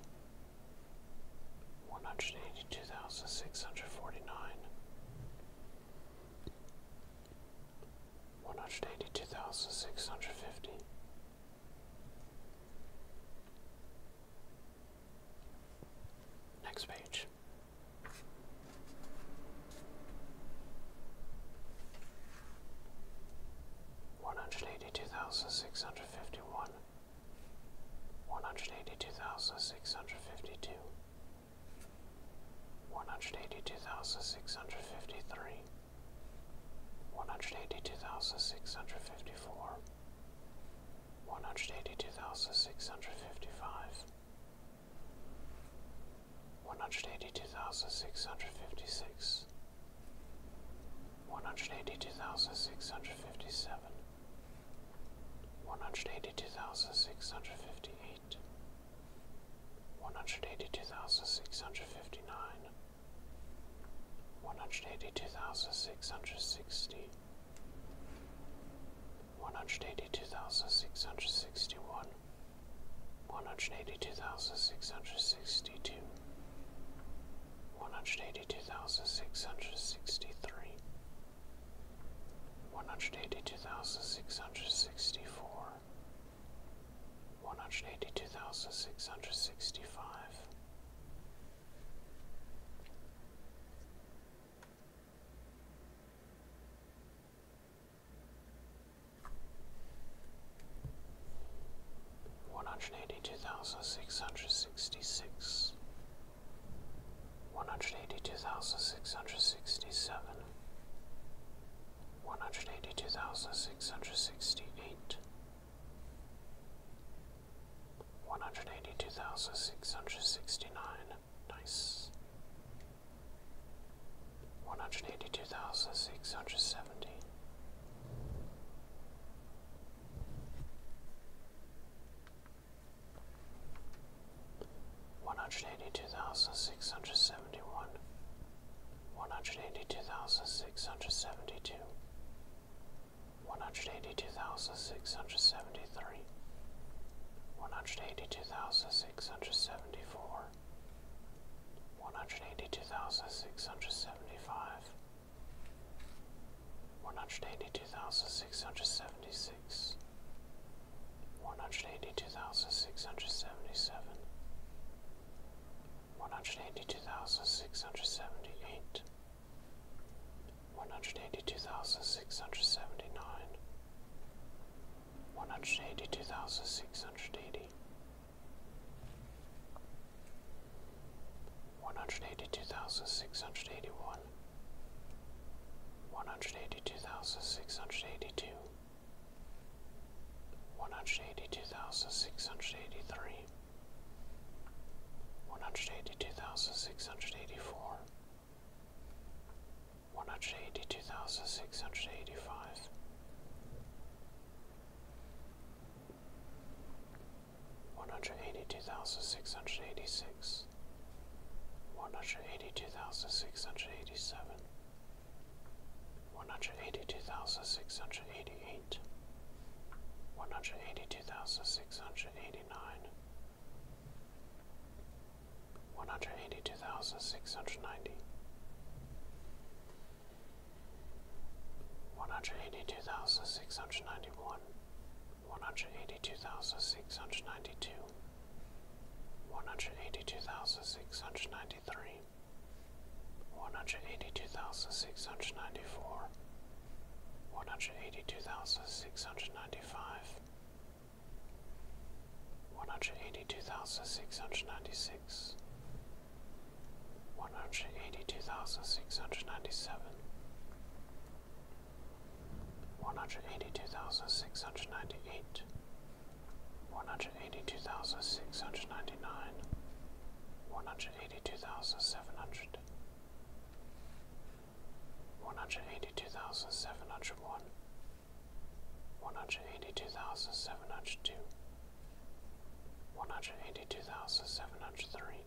one hundred eighty two thousand six hundred forty nine, one hundred eighty two thousand six hundred fifty, next page. One hundred eighty two thousand six hundred fifty one, one hundred eighty two thousand six hundred fifty two, one hundred eighty two thousand six hundred fifty three, one hundred eighty two thousand six hundred fifty four, one hundred eighty two thousand six hundred fifty five, one hundred eighty two thousand six hundred fifty six one hundred eighty two thousand six hundred fifty seven, one hundred eighty two thousand six hundred fifty eight, one hundred eighty two thousand six hundred fifty nine, one hundred eighty two thousand six hundred sixty, one hundred eighty two thousand six hundred sixty one, one hundred eighty two thousand six hundred sixty two one hundred eighty two thousand six hundred sixty three, one hundred eighty two thousand six hundred sixty four, one hundred eighty two thousand six hundred sixty five one hundred eighty two thousand six hundred sixty six, one hundred eighty two thousand six hundred sixty seven, one hundred eighty two thousand six hundred sixty eight, one hundred eighty two thousand six hundred sixty nine, nice. One hundred eighty two thousand six hundred seventy, one hundred eighty two thousand six hundred seventy one, one hundred eighty two thousand six hundred seventy two, one hundred eighty two thousand six hundred seventy three, one hundred eighty two thousand six hundred seventy four, one hundred eighty two thousand six hundred seventy five one hundred eighty two thousand six hundred seventy six, one hundred eighty two thousand six hundred seventy seven, one hundred eighty two thousand six hundred seventy eight, one hundred eighty two thousand six hundred seventy nine, one hundred eighty two thousand six hundred eighty one hundred eighty two thousand six hundred eighty one, one hundred eighty two thousand six hundred eighty two, one hundred eighty two thousand six hundred eighty three, one hundred eighty two thousand six hundred eighty four, one hundred eighty two thousand six hundred eighty five one hundred eighty two thousand six hundred eighty six, one hundred eighty two thousand six hundred eighty seven, one hundred eighty two thousand six hundred eighty eight, one hundred eighty two thousand six hundred eighty nine, one hundred eighty two thousand six hundred ninety. One hundred eighty two thousand six hundred ninety one, one hundred eighty two thousand six hundred ninety two, one hundred eighty two thousand six hundred ninety three, one hundred eighty two thousand six hundred ninety four, one hundred eighty two thousand six hundred ninety five, one hundred eighty two thousand six hundred ninety six. One hundred eighty two thousand six hundred ninety seven, one hundred eighty two thousand six hundred ninety eight, one hundred eighty two thousand six hundred ninety nine, one One hundred eighty-two thousand seven hundred one. thousand seven hundred one, one hundred eighty two thousand seven hundred two, one hundred eighty two thousand seven hundred three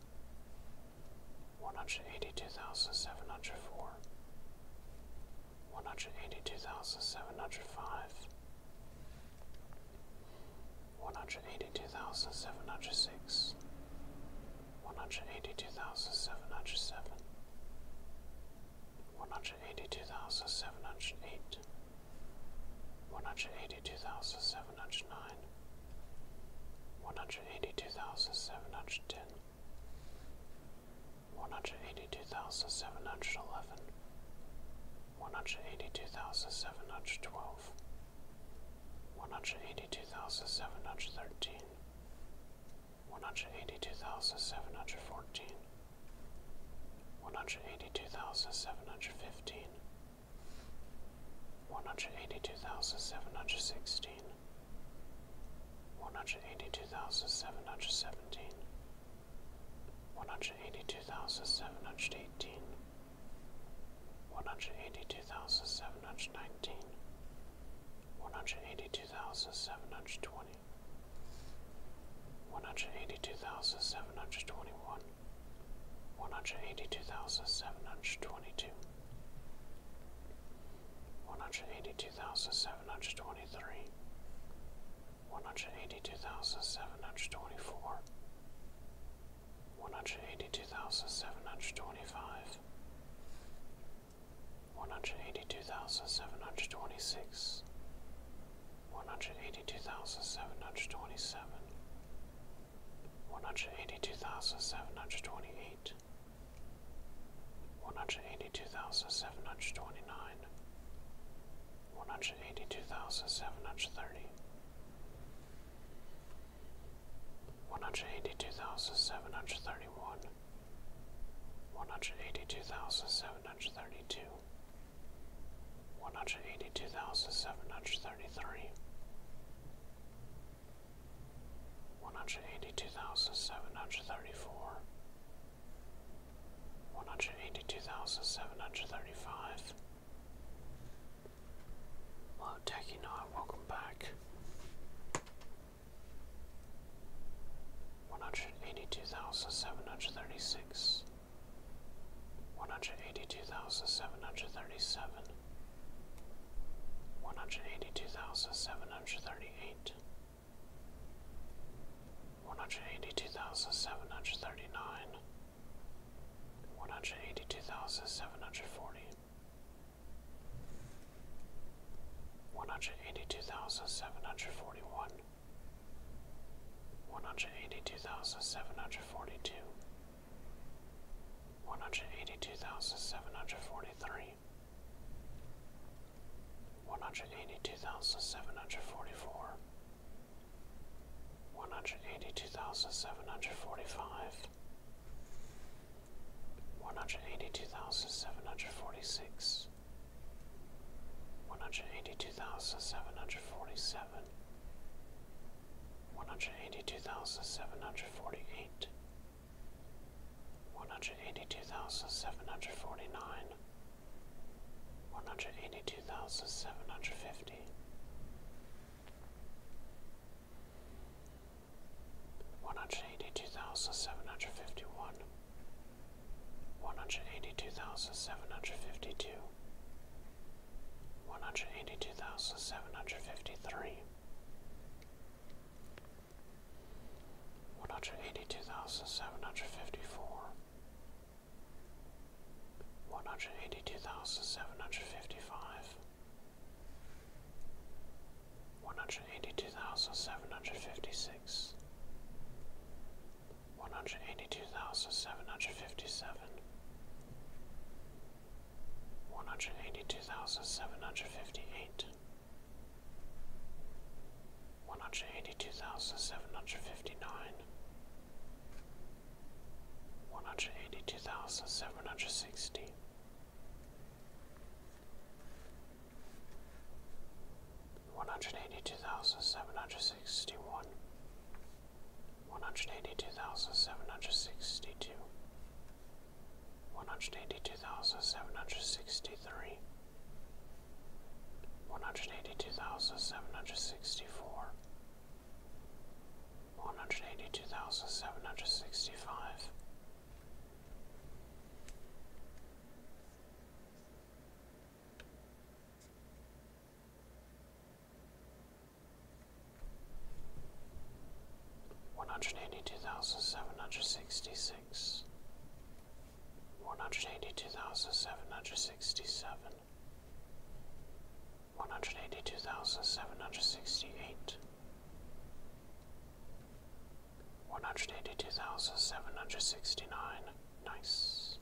one hundred eighty two thousand seven hundred four, one hundred eighty two thousand seven hundred five, one hundred eighty two thousand seven hundred six, one hundred eighty two thousand seven hundred seven, one hundred eighty two thousand seven hundred eight, one hundred eighty two thousand seven hundred nine. 182709 one hundred eighty-two thousand seven hundred ten. One hundred eighty-two thousand seven hundred eleven. One hundred eighty-two thousand seven hundred twelve. One hundred eighty-two thousand seven hundred thirteen. One hundred eighty-two thousand seven hundred fourteen. 182715 one hundred eighty-two thousand seven hundred eighteen. One hundred eighty-two thousand seven hundred nineteen. One hundred eighty-two thousand seven hundred twenty. two thousand seven hundred eighteen, one hundred eighty two thousand seven hundred nineteen, one hundred eighty two thousand seven hundred twenty. One hundred eighty two thousand seven hundred twenty one, one hundred eighty two thousand seven hundred twenty two, one hundred eighty two thousand seven hundred twenty three, one hundred eighty two thousand seven hundred twenty four, one hundred eighty two thousand seven hundred twenty five, one hundred eighty two thousand seven hundred twenty six, one hundred eighty two thousand seven hundred twenty seven. One hundred eighty two thousand seven hundred twenty eight, eight, one hundred eighty two thousand seven hundred twenty One hundred eighty-two thousand seven hundred thirty. One hundred eighty-two thousand seven hundred thirty-one. one hundred eighty two thousand seven hundred thirty two. One hundred eighty two thousand seven hundred thirty three, one hundred eighty two thousand seven hundred thirty four, one hundred eighty two thousand seven hundred thirty five. Hello, Techinot, welcome back. One hundred eighty two thousand seven hundred thirty six, one hundred eighty two thousand seven hundred thirty seven one hundred eighty two thousand seven hundred thirty eight, one hundred eighty two thousand seven hundred thirty nine, one hundred eighty two thousand seven hundred forty, one hundred eighty two thousand seven hundred forty one. One hundred eighty two thousand seven hundred forty two, one hundred eighty two thousand seven hundred forty three, one hundred eighty two thousand seven hundred forty four, one hundred eighty two thousand seven hundred forty five, one hundred eighty two thousand seven hundred forty six. One hundred eighty two thousand seven hundred forty seven, one hundred eighty two thousand seven hundred forty eight, one hundred eighty two thousand seven hundred forty nine, one hundred One hundred eighty-two thousand seven hundred fifty. One hundred eighty-two thousand seven hundred fifty-one. seven hundred fifty one, one hundred eighty two thousand seven hundred fifty two. One hundred eighty two thousand seven hundred fifty three, one hundred eighty two thousand seven hundred fifty four, one hundred eighty two thousand seven hundred fifty five, one hundred eighty two thousand seven hundred fifty six, one hundred eighty two thousand seven hundred fifty seven one hundred eighty two thousand seven hundred fifty eight, one hundred eighty two thousand seven hundred fifty nine, one hundred eighty two thousand seven hundred sixty. One hundred eighty two thousand seven hundred sixty one, one hundred eighty two thousand seven hundred sixty two, one hundred eighty two thousand seven hundred sixty three, one hundred eighty two thousand seven hundred sixty four, one hundred eighty two thousand seven hundred sixty five one hundred eighty two thousand seven hundred sixty six, one hundred eighty two thousand seven hundred sixty seven, one hundred eighty two thousand seven hundred sixty eight, one hundred eighty two thousand seven hundred sixty nine, nice.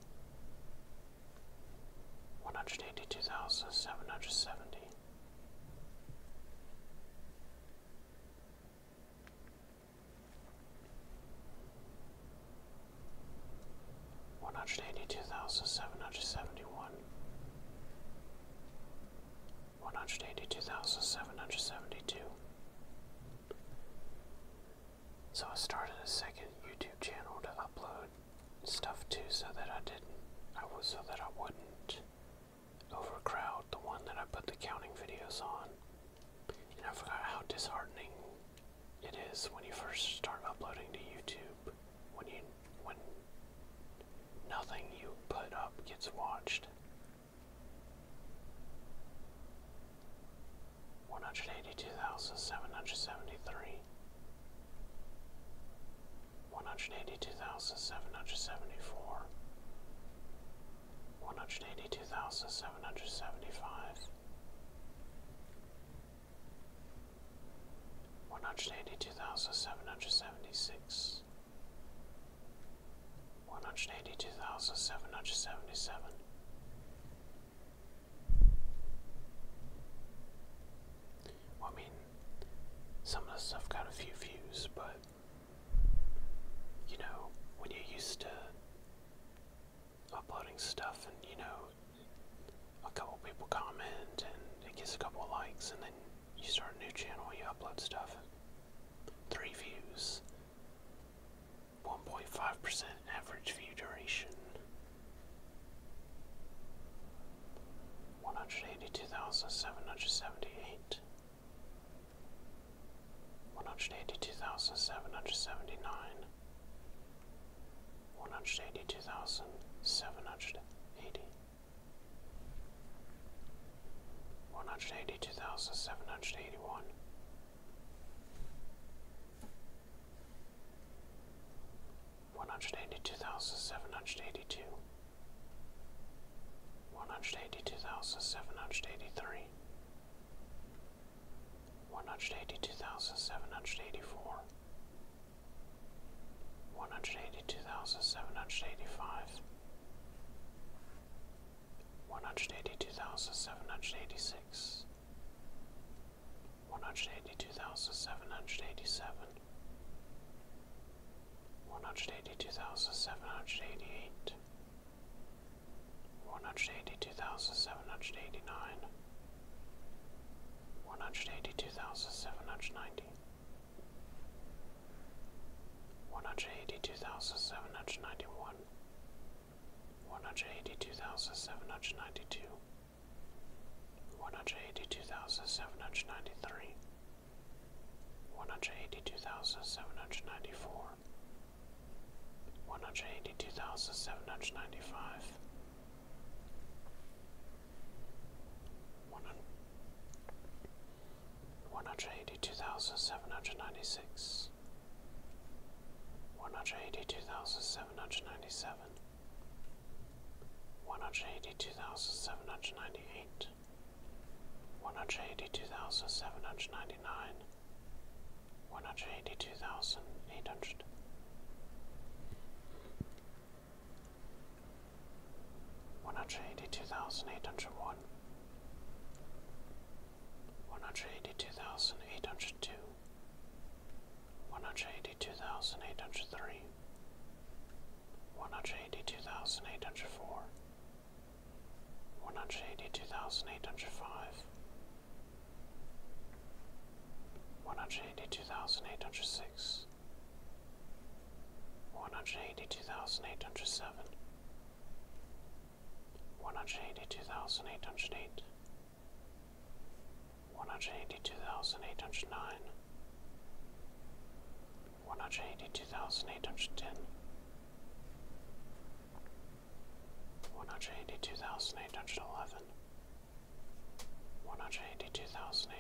One hundred eighty two thousand seven hundred seventy, one hundred eighty two thousand seven hundred seventy one, one hundred eighty two thousand seven hundred seventy two. So I started a second YouTube channel to upload stuff to so that I didn't I was so that I wouldn't Overcrowd, the one that I put the counting videos on. And I forgot how disheartening it is when you first start uploading to YouTube. When you when nothing you put up gets watched. 182,773 one hundred eighty two thousand seven hundred seventy four, one hundred eighty two thousand seven hundred seventy five, one hundred eighty two thousand seven hundred seventy six, one hundred eighty two thousand seven hundred seventy seven. I mean, some of the stuff got a few views, but you know, when you're used to uploading stuff and, you know, a couple people comment and it gets a couple of likes and then you start a new channel, you upload stuff, three views, 1.5% average view duration, 182,778 one hundred eighty two thousand seven hundred seventy nine, one hundred eighty two thousand seven hundred eighty, one hundred eighty two thousand seven hundred eighty one. One hundred eighty two thousand seven hundred eighty two, one hundred eighty two thousand seven hundred eighty three, one hundred eighty two thousand seven hundred eighty four, one hundred eighty two thousand seven hundred eighty five, one hundred eighty two thousand seven hundred eighty six. One hundred eighty two thousand seven hundred eighty seven, one hundred eighty two thousand seven hundred eighty eight, one hundred eighty two thousand seven hundred eighty nine, one hundred eighty One hundred eighty-two thousand seven hundred ninety. One hundred eighty-two thousand seven hundred ninety-one. seven hundred ninety one, one hundred eighty two thousand seven hundred ninety two. One hundred eighty two thousand seven hundred ninety three, one hundred eighty two thousand seven hundred ninety four, one hundred eighty two thousand seven hundred ninety five, one hundred eighty two thousand seven hundred ninety six, one hundred eighty two thousand seven hundred ninety seven. One hundred eighty two thousand seven hundred ninety eight, one hundred eighty two thousand seven hundred ninety nine, one hundred eighty two thousand eight hundred. One hundred eighty two thousand eight hundred one, one hundred eighty two thousand eight hundred two, one hundred eighty two thousand eight hundred three, one hundred eighty two thousand eight hundred four, one hundred eighty two thousand eight hundred five, one hundred eighty two thousand eight hundred six, one hundred eighty two thousand eight hundred seven, one hundred eighty two thousand eight hundred eight, one hundred eighty two thousand eight hundred nine. One hundred eighty-two thousand eight hundred ten. One hundred eighty-two thousand eight hundred twelve. One hundred eighty-two thousand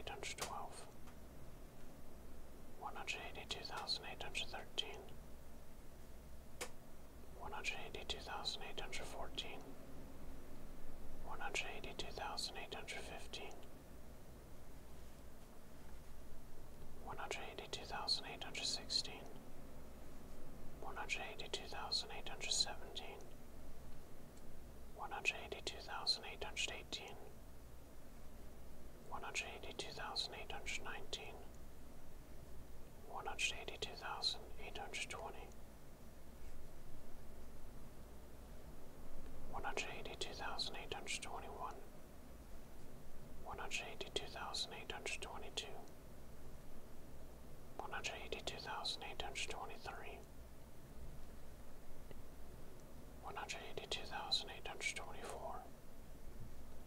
eight hundred thirteen. One hundred eighty-two thousand eight hundred fourteen. One hundred eighty-two thousand eight hundred fifteen one hundred eighty two thousand eight hundred sixteen, one hundred eighty two thousand eight hundred seventeen, one hundred eighty two thousand eight hundred eighteen, one hundred eighty two thousand eight hundred nineteen, one hundred eighty two thousand eight hundred twenty. One hundred eighty two thousand eight hundred twenty one, one hundred eighty two thousand eight hundred twenty two, one hundred eighty two thousand eight hundred twenty three, one hundred eighty two thousand eight hundred twenty four,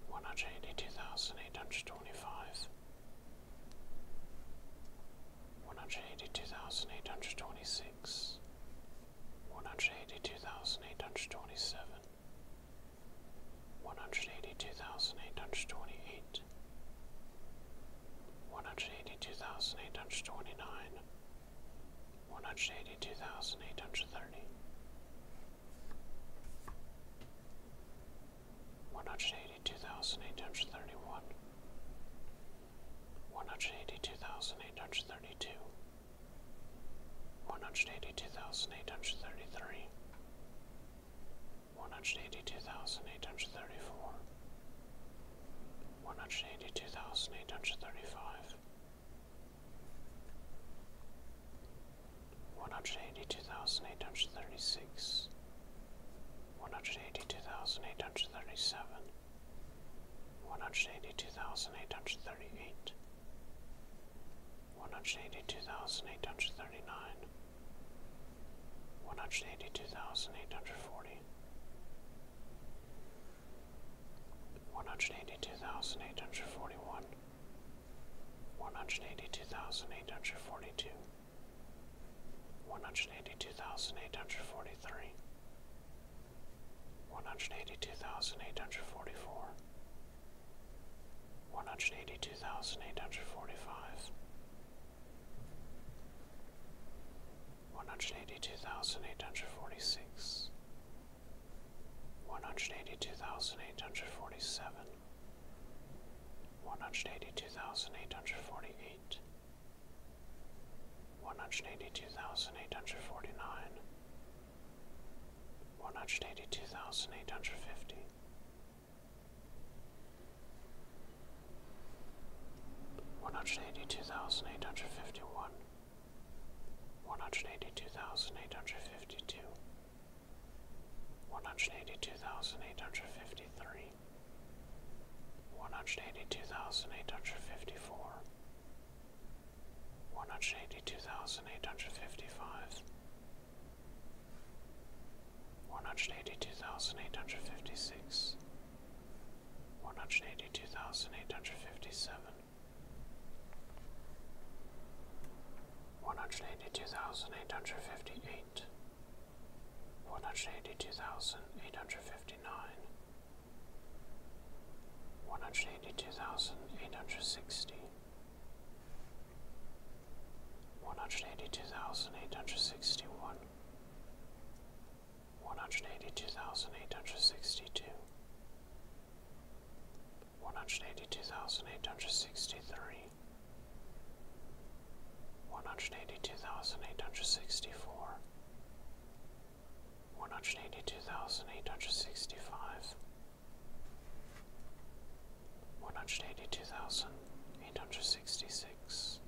one hundred eighty two thousand eight hundred twenty five, one hundred eighty two thousand eight hundred twenty six. One hundred eighty two thousand eight hundred twenty seven, one hundred eighty two thousand eight hundred twenty eight, one hundred eighty two thousand eight hundred twenty nine, one hundred eighty two thousand eight hundred thirty, one hundred eighty two thousand eight hundred thirty one, one hundred eighty two thousand eight hundred thirty two one hundred eighty two thousand eight hundred thirty three, one hundred eighty two thousand eight hundred thirty four, one hundred eighty two thousand eight hundred thirty five, one hundred eighty two thousand eight hundred thirty six, one hundred eighty two thousand eight hundred thirty seven. One hundred eighty two thousand eight hundred thirty eight, one hundred eighty two thousand eight hundred thirty nine, one hundred eighty two thousand eight hundred forty, one hundred eighty two thousand eight hundred forty one, one hundred eighty two thousand eight hundred forty two, one hundred eighty two thousand eight hundred forty three. One hundred eighty two thousand eight hundred forty four, one hundred eighty two thousand eight hundred forty five, one hundred eighty two thousand eight hundred forty six, one hundred eighty two thousand eight hundred forty seven, one hundred eighty two thousand eight hundred forty eight. One hundred eighty two thousand eight hundred forty nine, one hundred eighty two thousand eight hundred fifty. One hundred eighty two thousand eight hundred fifty one, one hundred eighty two thousand eight hundred fifty two, one hundred eighty two thousand eight hundred fifty three, one hundred eighty two thousand eight hundred fifty four, one hundred eighty two thousand eight hundred fifty five, one hundred eighty two thousand eight hundred fifty six, one hundred eighty two thousand eight hundred fifty seven, one hundred eighty two thousand eight hundred fifty eight. One hundred eighty two thousand eight hundred fifty nine, one hundred eighty two thousand eight hundred sixty, one hundred eighty two thousand eight hundred sixty one, one hundred eighty two thousand eight hundred sixty two, one hundred eighty two thousand eight hundred sixty three, one hundred eighty two thousand eight hundred sixty four. One hundred eighty two thousand eight hundred sixty five, one hundred eighty two thousand eight hundred sixty six.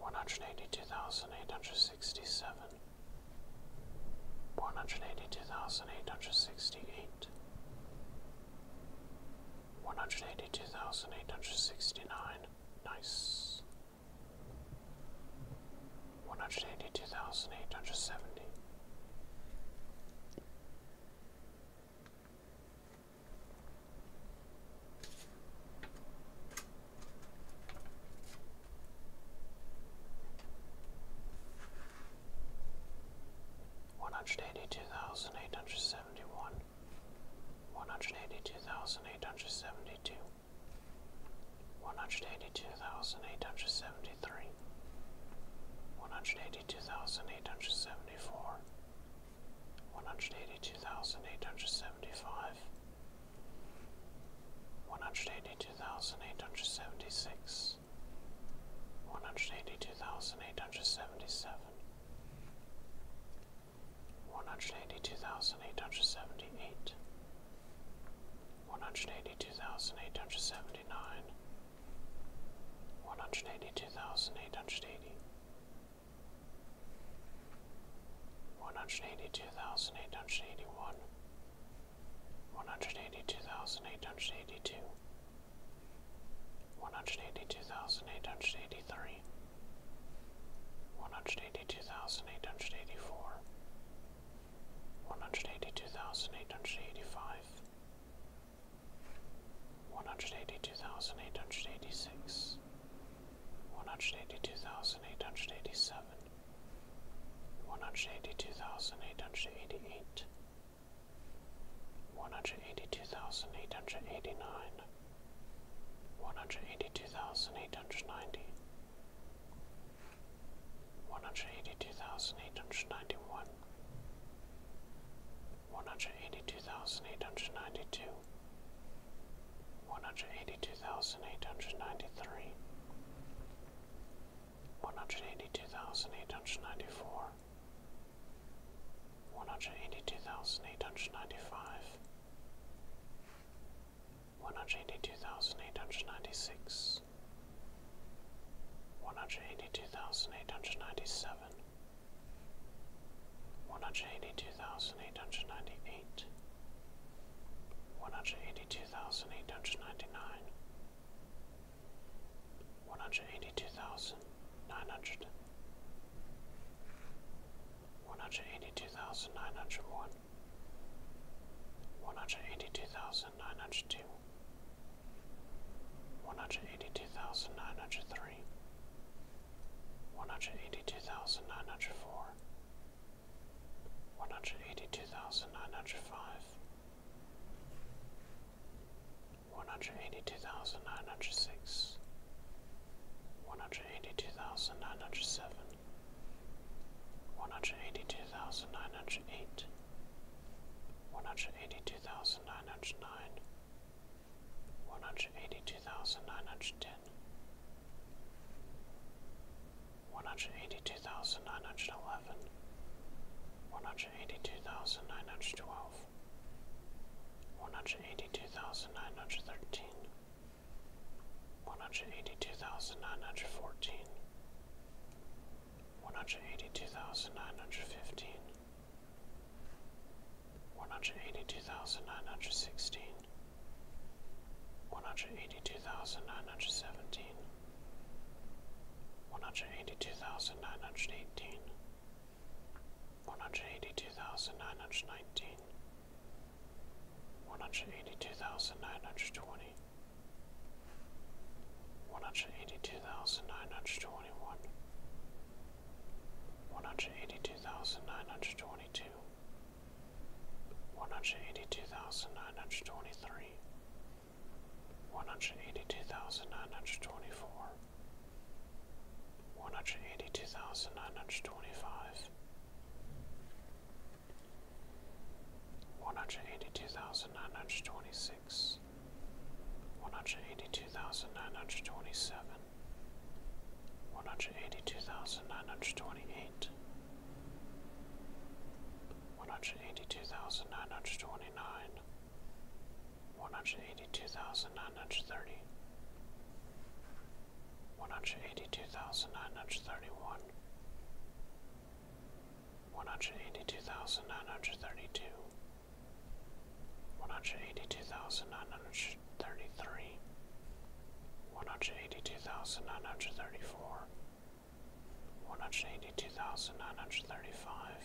One hundred eighty two thousand eight hundred sixty seven, one hundred eighty two thousand eight hundred sixty eight, one hundred eighty two thousand eight hundred sixty nine. Nice. One hundred eighty two thousand eight hundred seventy. One hundred eighty two thousand eight hundred seventy one, one hundred eighty two thousand eight hundred seventy two, one hundred eighty two thousand eight hundred seventy three, one hundred eighty two thousand eight hundred seventy four, one hundred eighty two thousand eight hundred seventy five, one hundred eighty two thousand eight hundred seventy six, one hundred eighty two thousand eight hundred seventy seven one hundred eighty two thousand eight hundred seventy eight, one hundred eighty two thousand eight hundred seventy nine, one hundred eighty two thousand eight hundred eighty, one hundred eighty two thousand eight hundred eighty one, one hundred eighty two thousand eight hundred eighty two. 182882 one hundred eighty two thousand eight hundred eighty three, one hundred eighty two thousand eight hundred eighty four, one hundred eighty two thousand eight hundred eighty five, one hundred eighty two thousand eight hundred eighty six, one hundred eighty two thousand eight hundred eighty seven, one hundred eighty two thousand eight hundred eighty eight. One hundred eighty two thousand eight hundred eighty nine, one hundred eighty two thousand eight hundred ninety, one hundred eighty two thousand eight hundred ninety one, one hundred eighty two thousand eight hundred ninety two, one hundred eighty two thousand eight hundred ninety three, one hundred eighty two thousand eight hundred ninety four one hundred eighty two thousand eight hundred ninety five, one hundred eighty two thousand eight hundred ninety six, one hundred eighty two thousand eight hundred ninety seven, one hundred eighty two thousand eight hundred ninety eight, one hundred eighty two thousand eight hundred ninety nine. One hundred eighty two thousand nine hundred, one hundred eighty two thousand nine hundred one, one hundred eighty two thousand nine hundred two, one hundred eighty two thousand nine hundred three, one hundred eighty two thousand nine hundred four, one hundred eighty two thousand nine hundred five one hundred eighty two thousand nine hundred six, one hundred eighty two thousand nine hundred seven, one hundred eighty two thousand nine hundred eight, one hundred eighty two thousand nine hundred nine, one hundred eighty two thousand nine hundred ten, one hundred eighty two thousand nine hundred eleven, one hundred eighty two thousand nine hundred twelve one hundred eighty two thousand nine hundred thirteen, one hundred eighty two thousand nine hundred fourteen, one hundred eighty two thousand nine hundred fifteen, one hundred eighty two thousand nine hundred sixteen, one hundred eighty two thousand nine hundred seventeen, one hundred eighty two thousand nine hundred eighteen. One hundred eighty-two thousand nine hundred twenty. One hundred eighty-two thousand nine hundred twenty-one. nine hundred twenty, one hundred eighty two thousand nine hundred twenty one, one hundred eighty two thousand nine hundred twenty two. One hundred eighty two thousand nine hundred twenty three, one hundred eighty two thousand nine hundred twenty four, one hundred eighty two thousand nine hundred twenty five, one hundred eighty two thousand nine hundred twenty six, one hundred eighty two thousand nine hundred twenty seven, one hundred eighty two thousand nine hundred twenty eight. One hundred eighty two thousand nine hundred twenty nine, one hundred eighty-two thousand nine hundred thirty. One hundred eighty-two thousand nine hundred thirty-one. eighty two thousand nine hundred thirty one, one hundred eighty two thousand nine hundred thirty two, one hundred eighty two thousand nine hundred thirty three, one hundred eighty two thousand nine hundred thirty four. One hundred eighty two thousand nine hundred thirty five,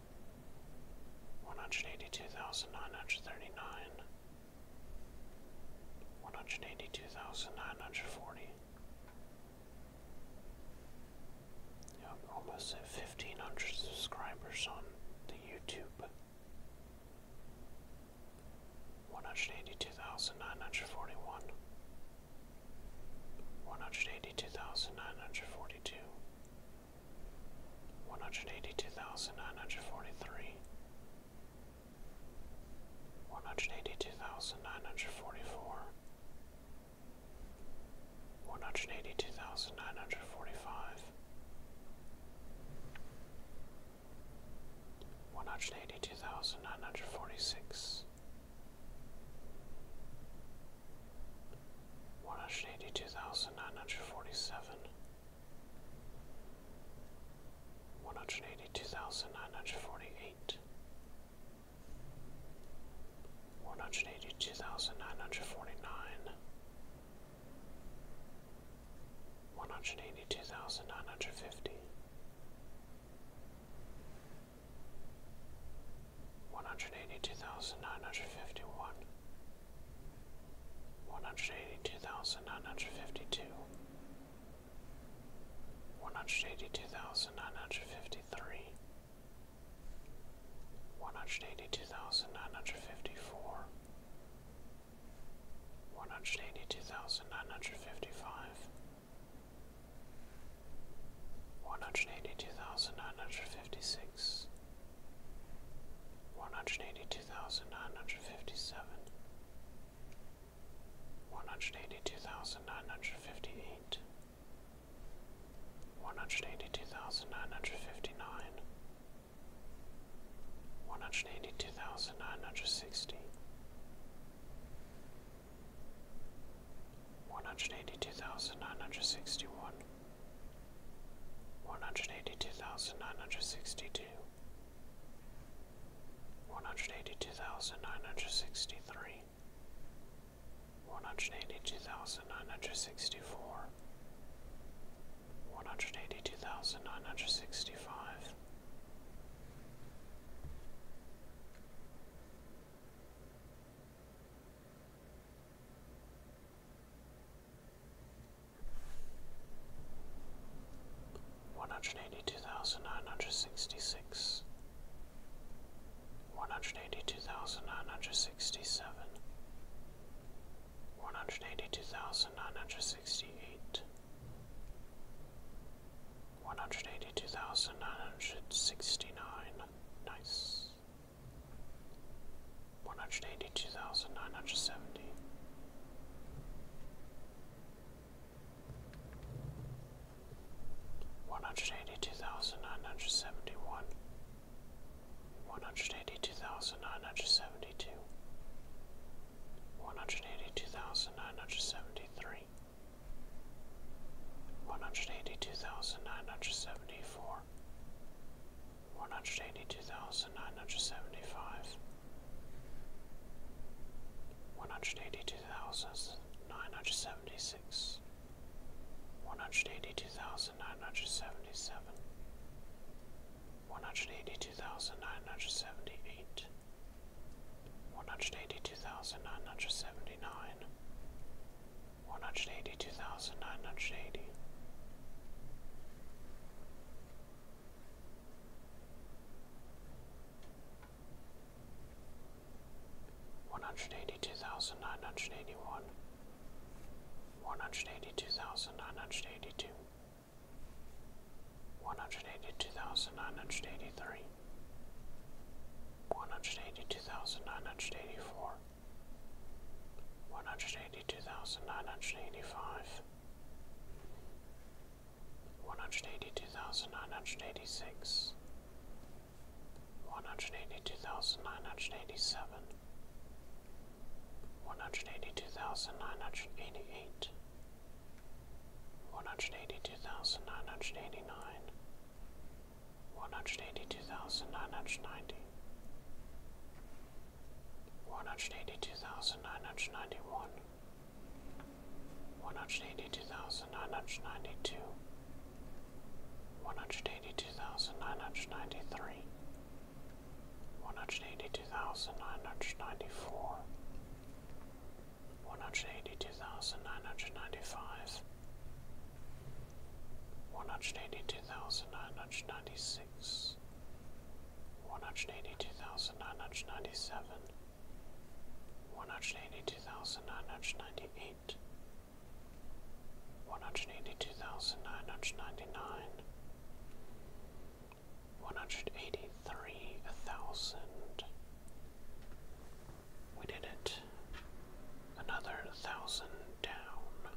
one hundred eighty two thousand nine hundred thirty nine, one hundred eighty two thousand nine hundred forty. Yep, almost at fifteen hundred subscribers on the YouTube. One hundred eighty two thousand nine hundred forty one. One hundred eighty two thousand nine hundred forty two one hundred eighty two thousand nine hundred forty three, one hundred eighty two thousand nine hundred forty four, one hundred eighty two thousand nine hundred forty five, one hundred eighty two thousand nine hundred forty six one hundred eighty two thousand nine hundred forty seven, one hundred eighty two thousand nine hundred forty eight, one hundred eighty two thousand nine hundred forty nine, one hundred eighty two thousand nine hundred fifty. One hundred eighty two thousand nine hundred fifty one, one hundred eighty two thousand nine hundred fifty two, one hundred eighty two thousand nine hundred fifty three, one hundred eighty two thousand nine hundred fifty four, one hundred eighty two thousand nine hundred fifty five. One hundred eighty two thousand nine hundred fifty six, one hundred eighty two thousand nine hundred fifty seven, one hundred eighty two thousand nine hundred fifty eight, one hundred eighty two thousand nine hundred fifty nine, one hundred eighty two thousand nine hundred sixty. 182961 one hundred eighty two thousand nine hundred sixty two, one hundred eighty two thousand nine hundred sixty three, one hundred eighty two thousand nine hundred sixty four, one hundred eighty two thousand nine hundred sixty five one hundred eighty two thousand nine hundred sixty six, one hundred eighty two thousand nine hundred sixty seven, one hundred eighty two thousand nine hundred sixty eight, one hundred eighty two thousand nine hundred sixty nine, nice one hundred eighty two thousand nine hundred seventy. One hundred eighty two thousand nine hundred seventy one, one hundred eighty two thousand nine hundred seventy two, one hundred eighty two thousand nine hundred seventy three, one hundred eighty two thousand nine hundred seventy four, one hundred eighty two thousand nine hundred seventy five, one hundred eighty two thousand nine hundred seventy six, one hundred eighty two thousand nine hundred seventy seven, one hundred eighty two thousand nine hundred seventy eight, one hundred eighty two thousand nine hundred seventy nine. One hundred eighty two thousand nine hundred eighty, one hundred eighty two thousand nine hundred eighty one, one hundred eighty two thousand nine hundred eighty two, one hundred eighty two thousand nine hundred eighty three, one hundred eighty two thousand nine hundred eighty four one hundred eighty two thousand nine hundred eighty five, one hundred eighty two thousand nine hundred eighty six, one hundred eighty two thousand nine hundred eighty seven, one hundred eighty two thousand nine hundred eighty eight. One hundred eighty two thousand nine hundred eighty nine, one hundred eighty two thousand nine hundred ninety, one hundred eighty two thousand nine hundred ninety one, one hundred eighty two thousand nine hundred ninety two, one hundred eighty two thousand nine hundred ninety three, one hundred eighty two thousand nine hundred ninety four, one hundred eighty two thousand nine hundred ninety five. One hundred eighty two thousand nine hundred ninety six, one hundred eighty two thousand nine hundred ninety seven, one hundred eighty two thousand nine hundred ninety eight, one hundred eighty two thousand nine hundred ninety nine, one hundred eighty three thousand. We did it. Another thousand down.